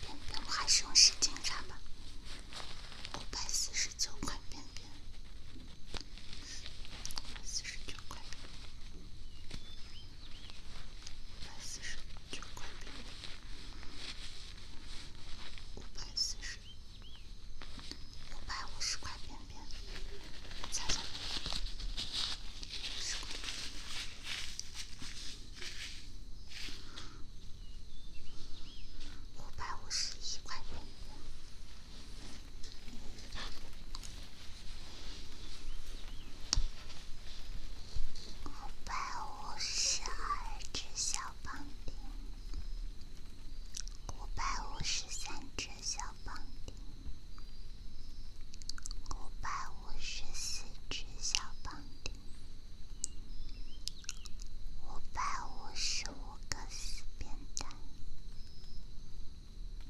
边边，我还是用时间查吧。五百四十九块边边，五百四十九块边边，五百四十九块边边，五百四十，五百五十块边边，猜猜五十块。五百五十一块五，百五十二只小胖丁，五百五十三只小胖丁，五百五十四只小胖丁。五百五十五个四边形，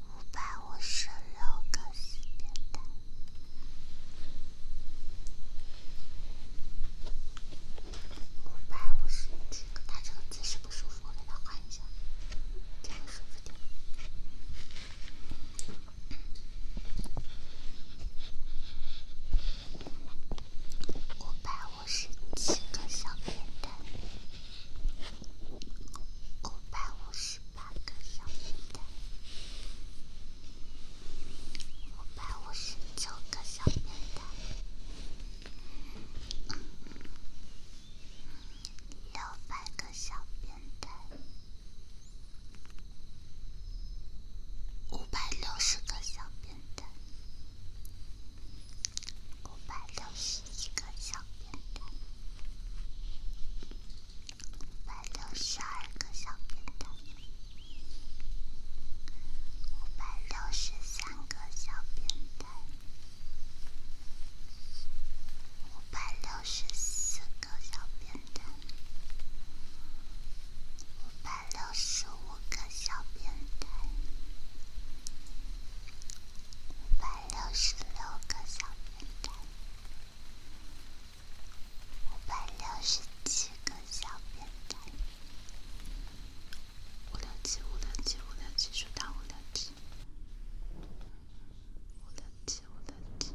五百五十六个四边形，五百五十七个。他这个姿势不舒服，我给他换一下，这样舒服点。五百五个小便蛋，五百五个小便蛋，五百五个小便蛋，六百个小便蛋。五百六十个小变态，五百六十一个小变态，五百六十二个小变态，五百六十三个小变态，五百六十四个小变态。五百六十五个小变态，五百六十六个小变态，五百六十七个小变态，五六七五六七五六七数到五六七，五六七五六七。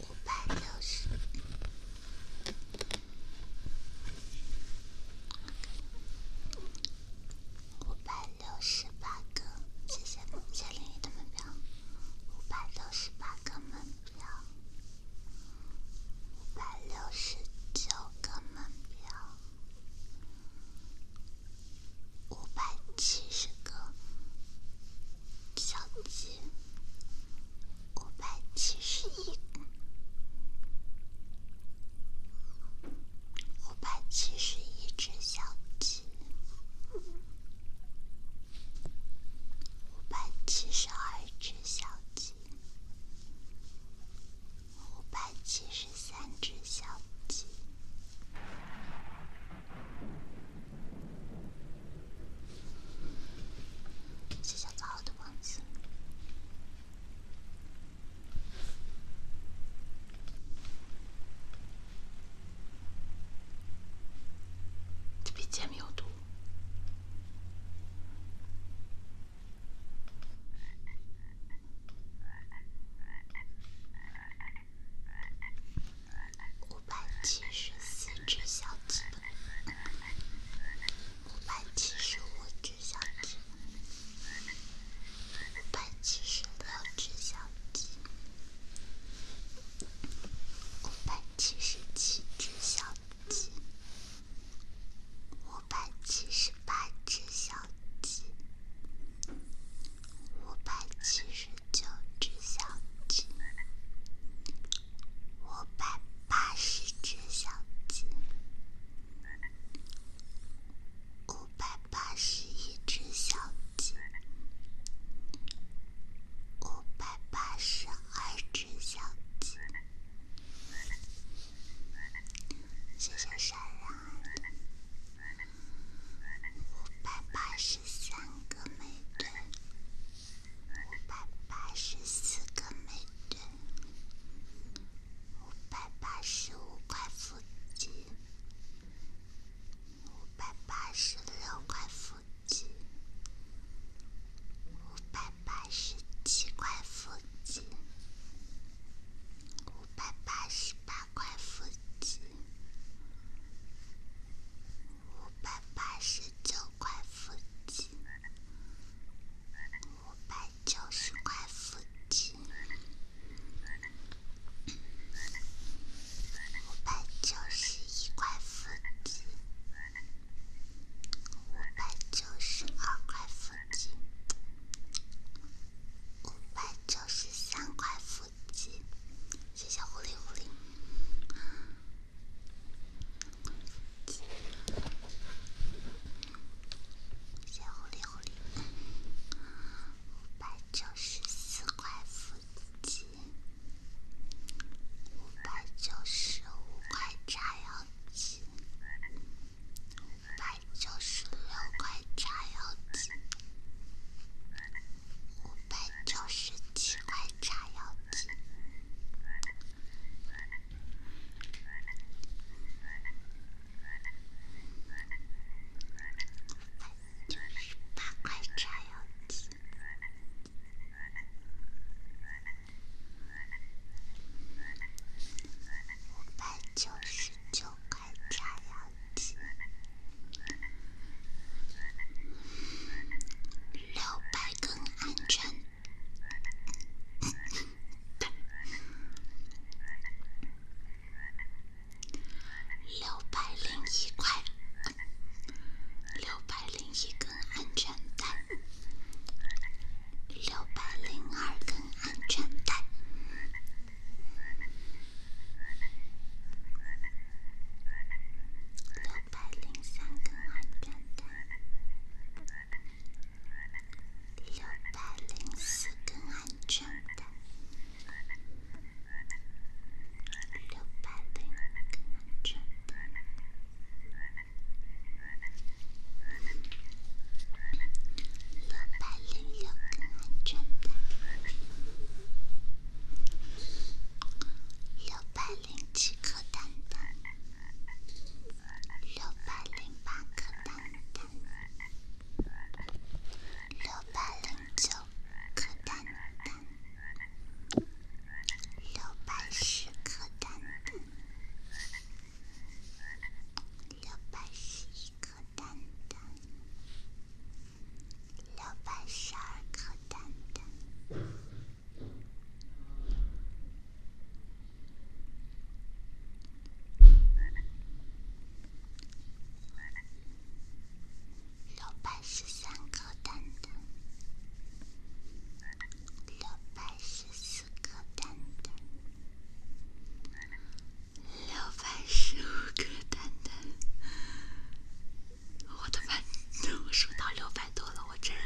五百六十，五百个，谢谢梦千灵的门票，五百六个门票，五百六个门票，五百七十个，小姐。五百七十一，五百七十一只小鸡，五百七十二只小鸡，五百七十三只小鸡。谢谢枣子王子，特别有毒。五百七十四只小鸡，五百七十五只小鸡，五百七十六只小鸡，五百七十七只小鸡，五百七十八只小鸡，五百七十九只小鸡。五百八十只小鸡，五百八十一只小鸡，五百八十二只小鸡，谢谢善良。五百八十三个美队，五百八十四个美臀，五百八十五块腹肌，五百八十六块腹肌，五百八十七块腹肌，五百八十八块腹肌，五百八十九。块腹肌，五百九十块腹肌，五百九十一块腹肌，五百九十二块腹肌，五百九十三块腹肌，谢谢狐狸狐狸。炸药剂，五百九十四块；炸药剂，五百九十五块；炸药剂，五百九十六块；炸药剂，五百九十七块；炸药剂。九十八块炸药机，五百九十九块炸药机。六百根安全带，六百零一块，六百零一根安全带，六百零二根安全带，六百零三根安全带。六百零四更安全的，六百零五更安全的，六百零六更安全的，六百。零七颗蛋蛋，六百零颗蛋蛋，六百零颗蛋蛋，六百十颗蛋蛋，六百十颗蛋蛋，六百十二颗。六百十三颗蛋蛋，六百十四颗蛋蛋，六百十五颗蛋蛋。我的妈！我收到六百多了，我这人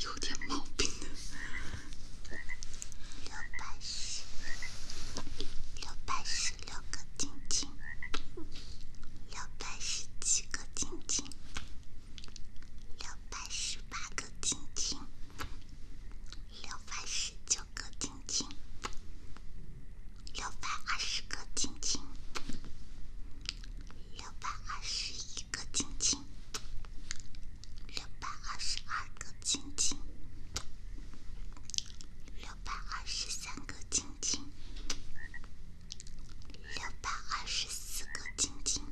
有点毛病。六百十，六百十六个晶晶，六百十七个晶晶，六百十八个晶晶，六百十九个晶晶，六百二十个晶晶。六百二十一个亲亲，六百二十二个亲亲，六百二十三个亲亲，六百二十四个亲亲，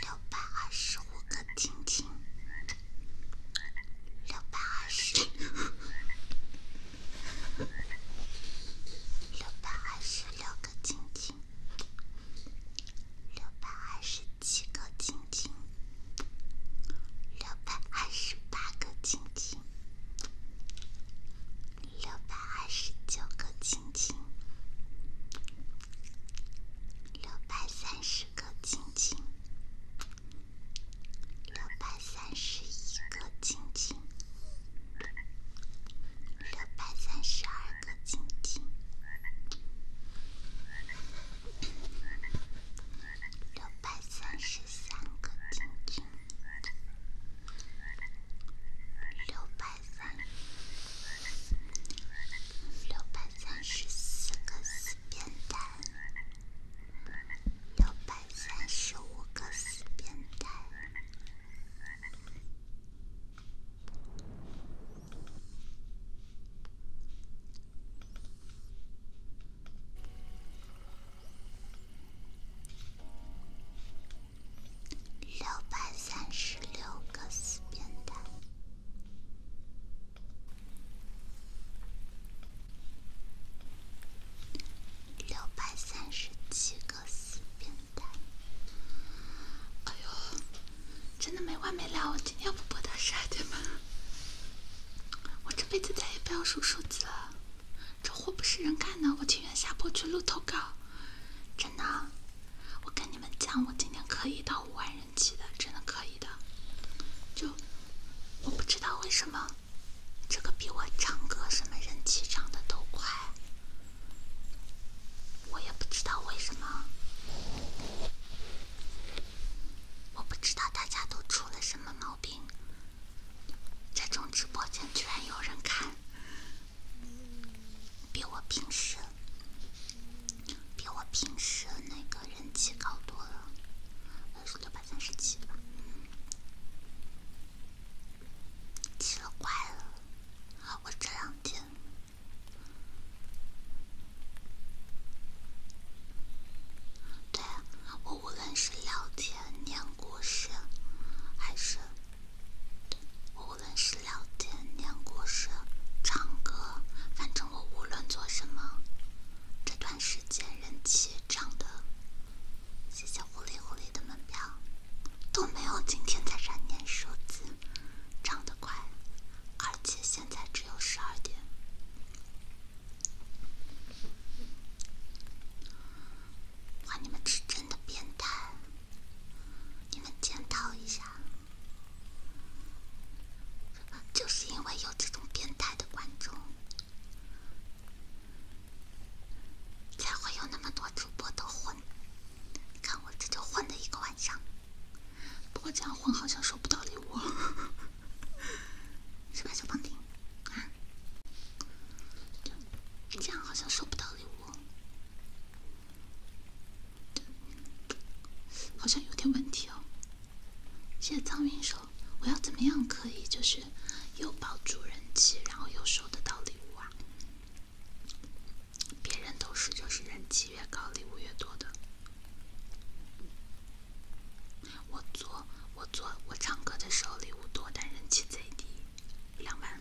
六百二十五个亲亲，六百二十，六百二十六个。个晶晶，六百二十七个晶晶，六百二十八个晶晶，六百二十九个晶晶，六百三十个晶晶，六百三十一个晶晶。六百三十二个晶晶，六百三十三个晶晶，六百三六百三十四个四边蛋，六百三十五个四边蛋。六百三十六个死变态。六百三十七个四哎呦，真的没完没了！我今天不播到十二点半，我这辈子再也不要数数字了，这活不是人干的，我情愿下播去录投稿。真的，我跟你们讲，我今天可以到五万人气的，真的可以的。就我不知道为什么，这个比我唱歌什么人气长的都快。我也不知道为什么，我不知道大家都出了什么毛病。这种直播间居然有人看，比我平时，比我平时那个人气高多了，是六百三十七奇了怪了，我这两天，对，我无论是聊天、念故事，还是，无论是聊天、念故事、唱歌，反正我无论做什么，这段时间人气涨的，谢谢狐狸狐狸。的门票都没有，今天在燃年数字涨得快，而且现在只有十二点，还你们是真的变态，你们检讨一下，就是因为有这种变态的观众，才会有那么多主播的火。看我这就混了一个晚上，不过这样混好像收不到礼物，是吧，小胖丁？啊，这样好像收不到礼物，好像有点问题哦。谢谢苍云手，我要怎么样可以就是又保住人气，然后又收得到礼物啊？别人都是就是人气越高，礼物越多的。我做我做我唱歌的时候礼物多，但人气贼低，两万。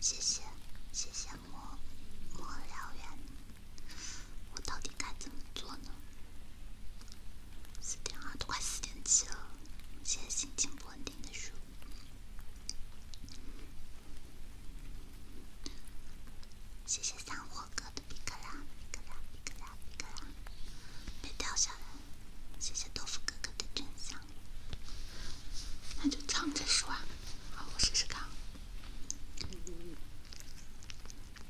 谢谢谢谢莫莫燎原，我到底该怎么做呢？四点二都快四点七了，现在心情不稳定的时候。谢谢三火哥的比克拉，比克拉，比克拉，比克拉，别掉下来。谢谢豆腐哥哥的真相，那就唱着说。啊，好，我试试看。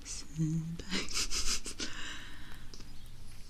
四百。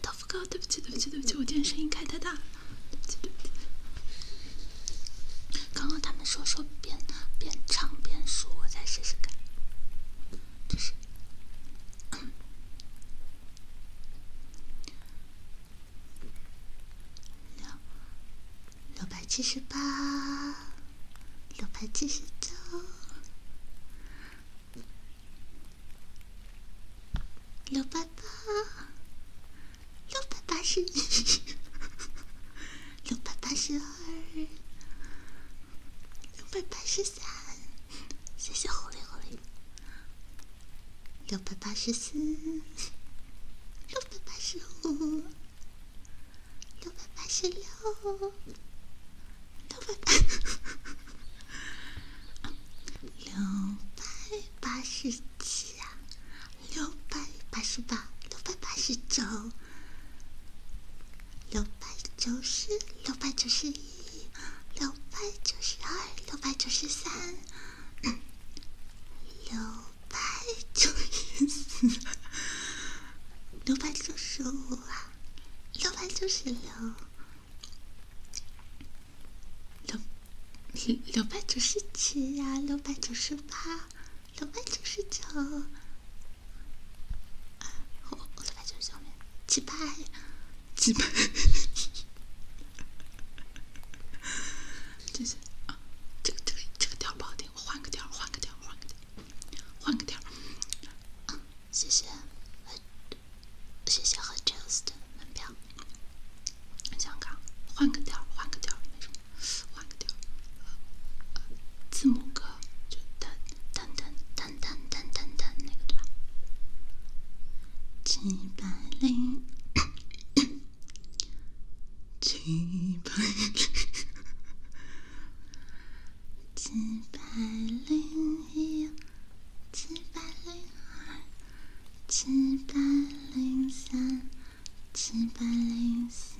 豆腐哥，谢谢对不起，对不起，对不起，我今天声音开太大了。对不起，对不起。刚刚他们说说边边唱边说，我再试试看。六六百七十八，六百七十九，六百八，六百八十，六百八十二，六百八十三，谢谢狐狸，狐狸。六百八十四，六百八十五，六百八十六，六百八，六百八十七，啊，六百八十八，六百八十九，六百九十，六百九十一，六百九十二，六百九十三，六。六百九十四，六百九十五啊，六百九十六，六六百九十七呀，六百九十八，六百九十九，我我六百九十九，七百，七百。真是啊，这个这个这个调不好听，我换个调，换个调，换个调，换个调。谢谢，谢谢和 j u s 的门票。我想看，换个调，换个调，没什么，换个调。字母歌，就噔噔噔噔噔噔噔那个对吧？七百零。七百，七百零一，七百零二，七百零三，七百零四，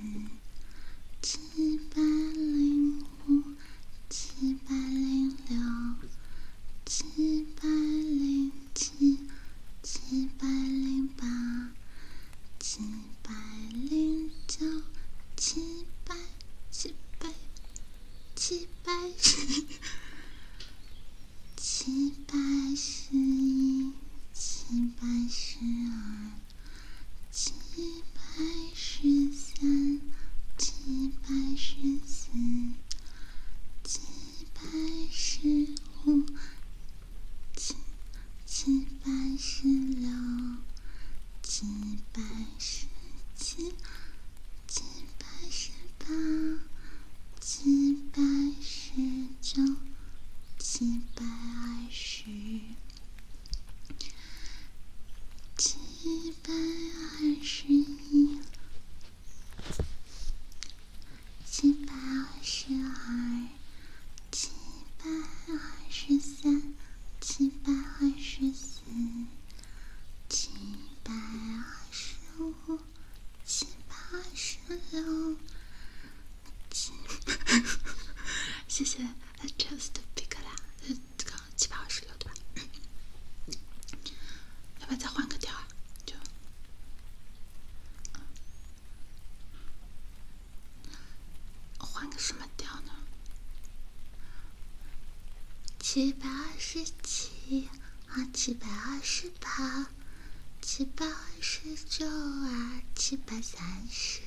七百零五，七百零六，七百零七，七百零八。七百零九，七百，七百，七百十，七百十一，七百十二，七百十三，七百十四，七百十五。七七百十六，七百十七，七百十八，七百十九，七百二十，七百二十一。七百二十二，七百二十三，七百二十四，七百二十五，七百二十六。谢谢，just big 啦，刚七百二十六对吧？要不要再换个调啊？就。换个什么调呢？七百二十七啊，七百二十八，七百二十九啊，七百三十，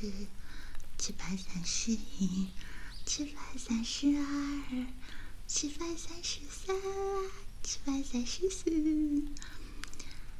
七百三十一，七百三十二，七百三十三，啊，七百三十四。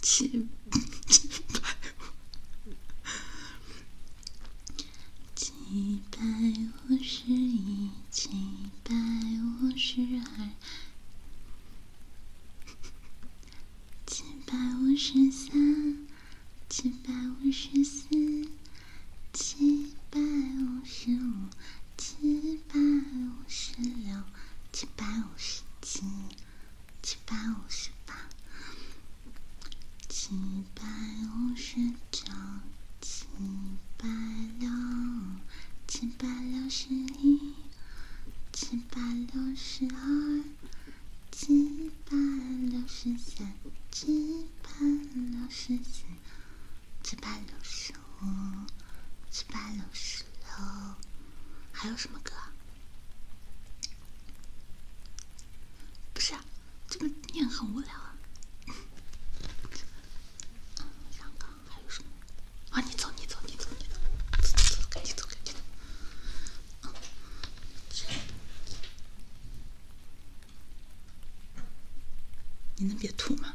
七七七百，五十一，七百五十二，七百五十三，七百五十四，七百五十五，七。七百五十六，七百五十七，七百五十八，七百五十九，七百六，七百六十一，七百六十二，七百六十三，七百六十四。七八六十五，七八六十六，还有什么歌？不是，这个念很无聊啊。我想想还有什么。啊，你走，你走，你走，你走，走走，赶紧走，赶紧走。嗯，你能别吐吗？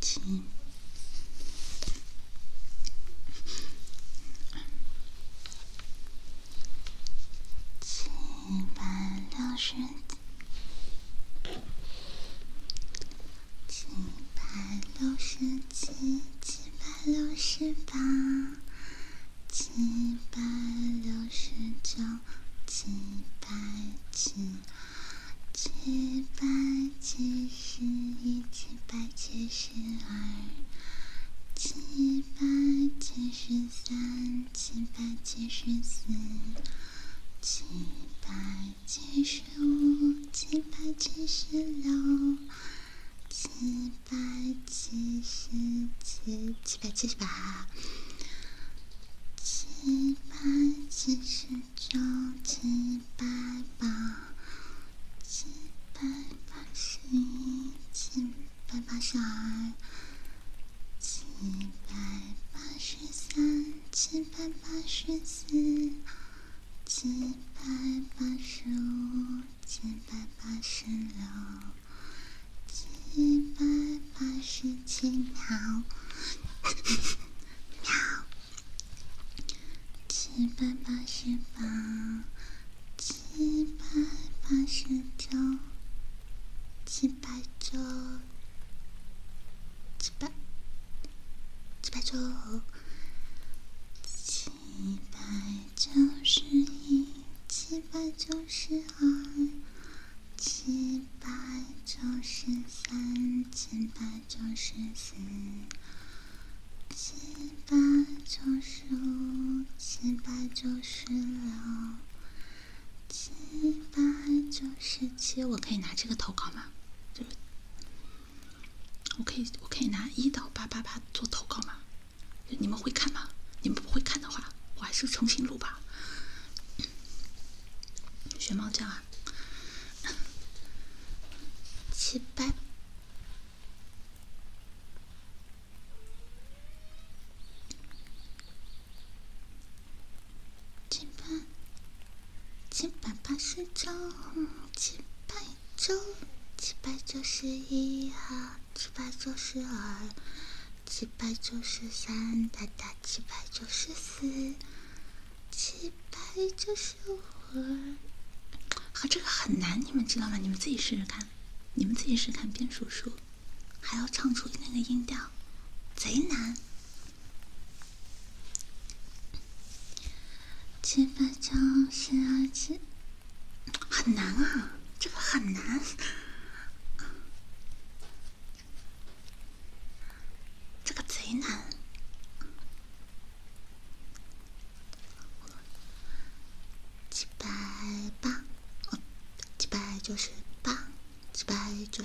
七，七百六十。七百六十七，七百六十八，七百六十九，七百七，七百七十，一七百七十二，七百七十三，七百七十四，七百。七十五，七百七十六，七百七十七，七百七十八，七百七十九，七百八，七百八十一，七百八十二，七百八十三，七百八十四。七百八十五，七百八十六，七百八十七秒，秒，七百八十八，七百八十九，七百九，七百。七百九，七百九十一，七百九十二，七百九十三，七百九十四，七百九十五，七百九十六，七百九十七。我可以拿这个投稿吗？我可以，我可以拿一到八八八做投稿吗？你们会看吗？你们不会看的话，我还是重新录吧。学猫叫啊！七八。七七百八十张，七百九，七百九十一啊，七百九十二，七百九十三，大大七百九十四，七百九十五。和这个很难，你们知道吗？你们自己试试看，你们自己试试看边数数，还要唱出那个音调，贼难。七百九十二只，很难啊！这个很难，这个贼难。七百八，哦，七百九十八，九。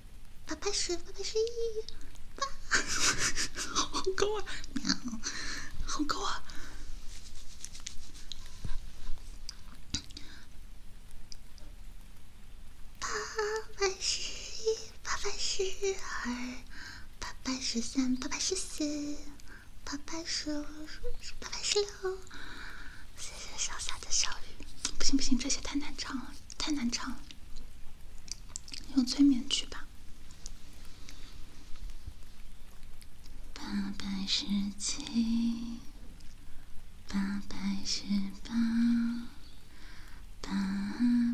八百十，八百十一，八，好高啊！喵，好高啊！八百十一，八百十二，八百十三，八百十四，八百十五，八百十六。谢谢上下的小雨，不行不行，这些太难唱了。太难唱了，用催眠曲吧。八百十七，八百十八，八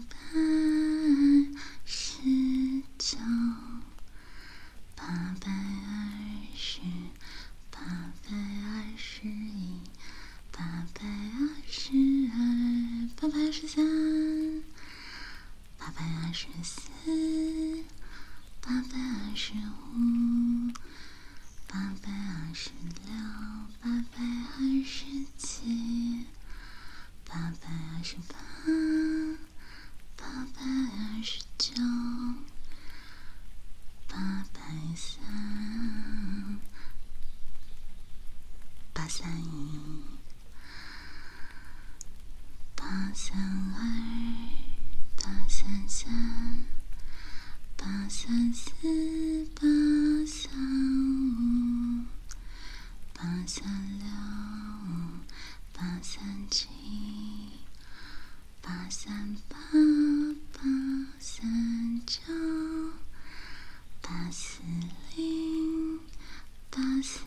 百十九，八百二十，八百二十一。八百二十二，八百二十三，八百二十四，八百二十五，八百二十六，八百二十七，八百二十八，八百二十九，八百三，八三一。八三二八三三八三四八三五八三六八三七八三八八三九。八四零八四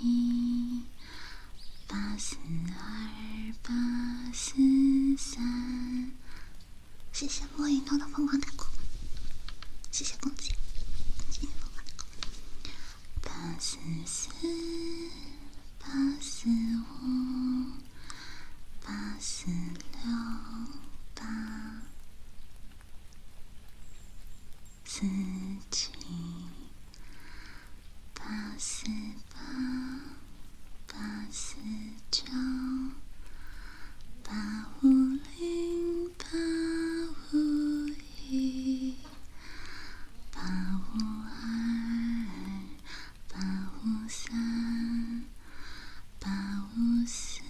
一八四二八四三，谢谢莫影诺的疯狂打 call，谢谢公子，谢谢疯狂。八四四八四五八四六八。自己八四八、八四九、八五零、八五一、八五二、八五三、八五四。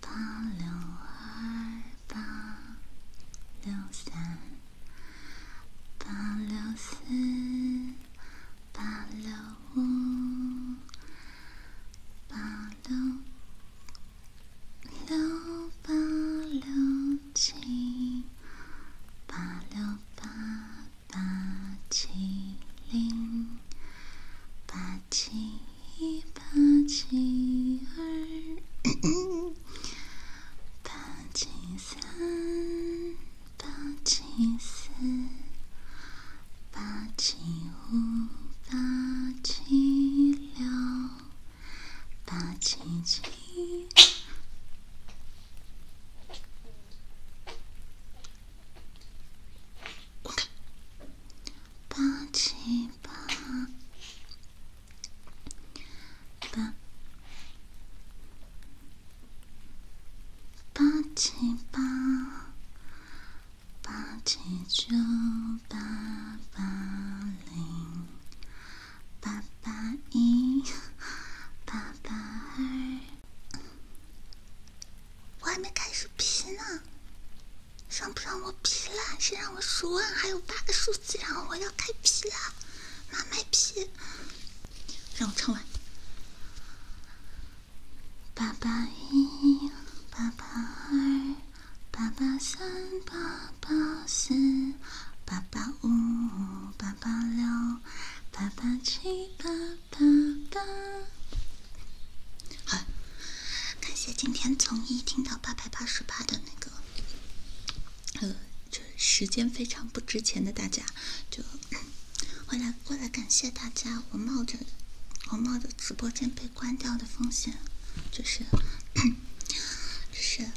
八六二八六三八六四八六五八六六八六七八六八八七零八七。一八七二，八七三，八七四，八七五，八七六，八七七。八七八八八七八八七九八八零八八一八八二，我还没开始批呢。让不让我皮了？先让我数完，还有八个数字，然后我要开皮了，妈卖皮！让我唱完。八八一，八八二，八八三，八八四，八八五，八八六，八八七，八八八。好。感谢今天从一听到八百八十八的那个，呃，就时间非常不值钱的大家，就回来过来感谢大家。我冒着我冒着直播间被关掉的风险，就是就是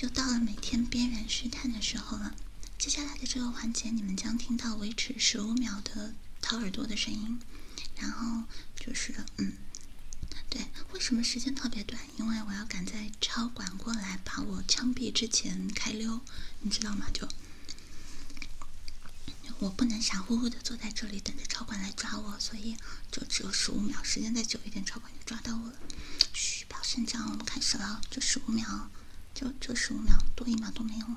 又到了每天边缘试探的时候了。接下来的这个环节，你们将听到维持十五秒的掏耳朵的声音。然后就是，嗯，对，为什么时间特别短？因为我要赶在超管过来把我枪毙之前开溜，你知道吗？就我不能傻乎乎的坐在这里等着超管来抓我，所以就只有十五秒，时间再久一点，超管就抓到我了。嘘，不要声张，我们开始了，就十五秒，就就十五秒，多一秒都没用。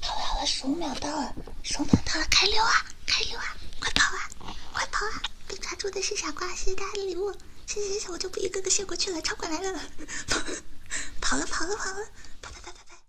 好了好了，十五秒到了，十五秒到了，开溜啊，开溜啊，快跑啊，快跑啊！被抓住的是傻瓜，谢谢大家的礼物，谢谢谢谢，我就不一个个谢过去了，超管来了，跑跑了跑了跑了，拜拜拜拜拜。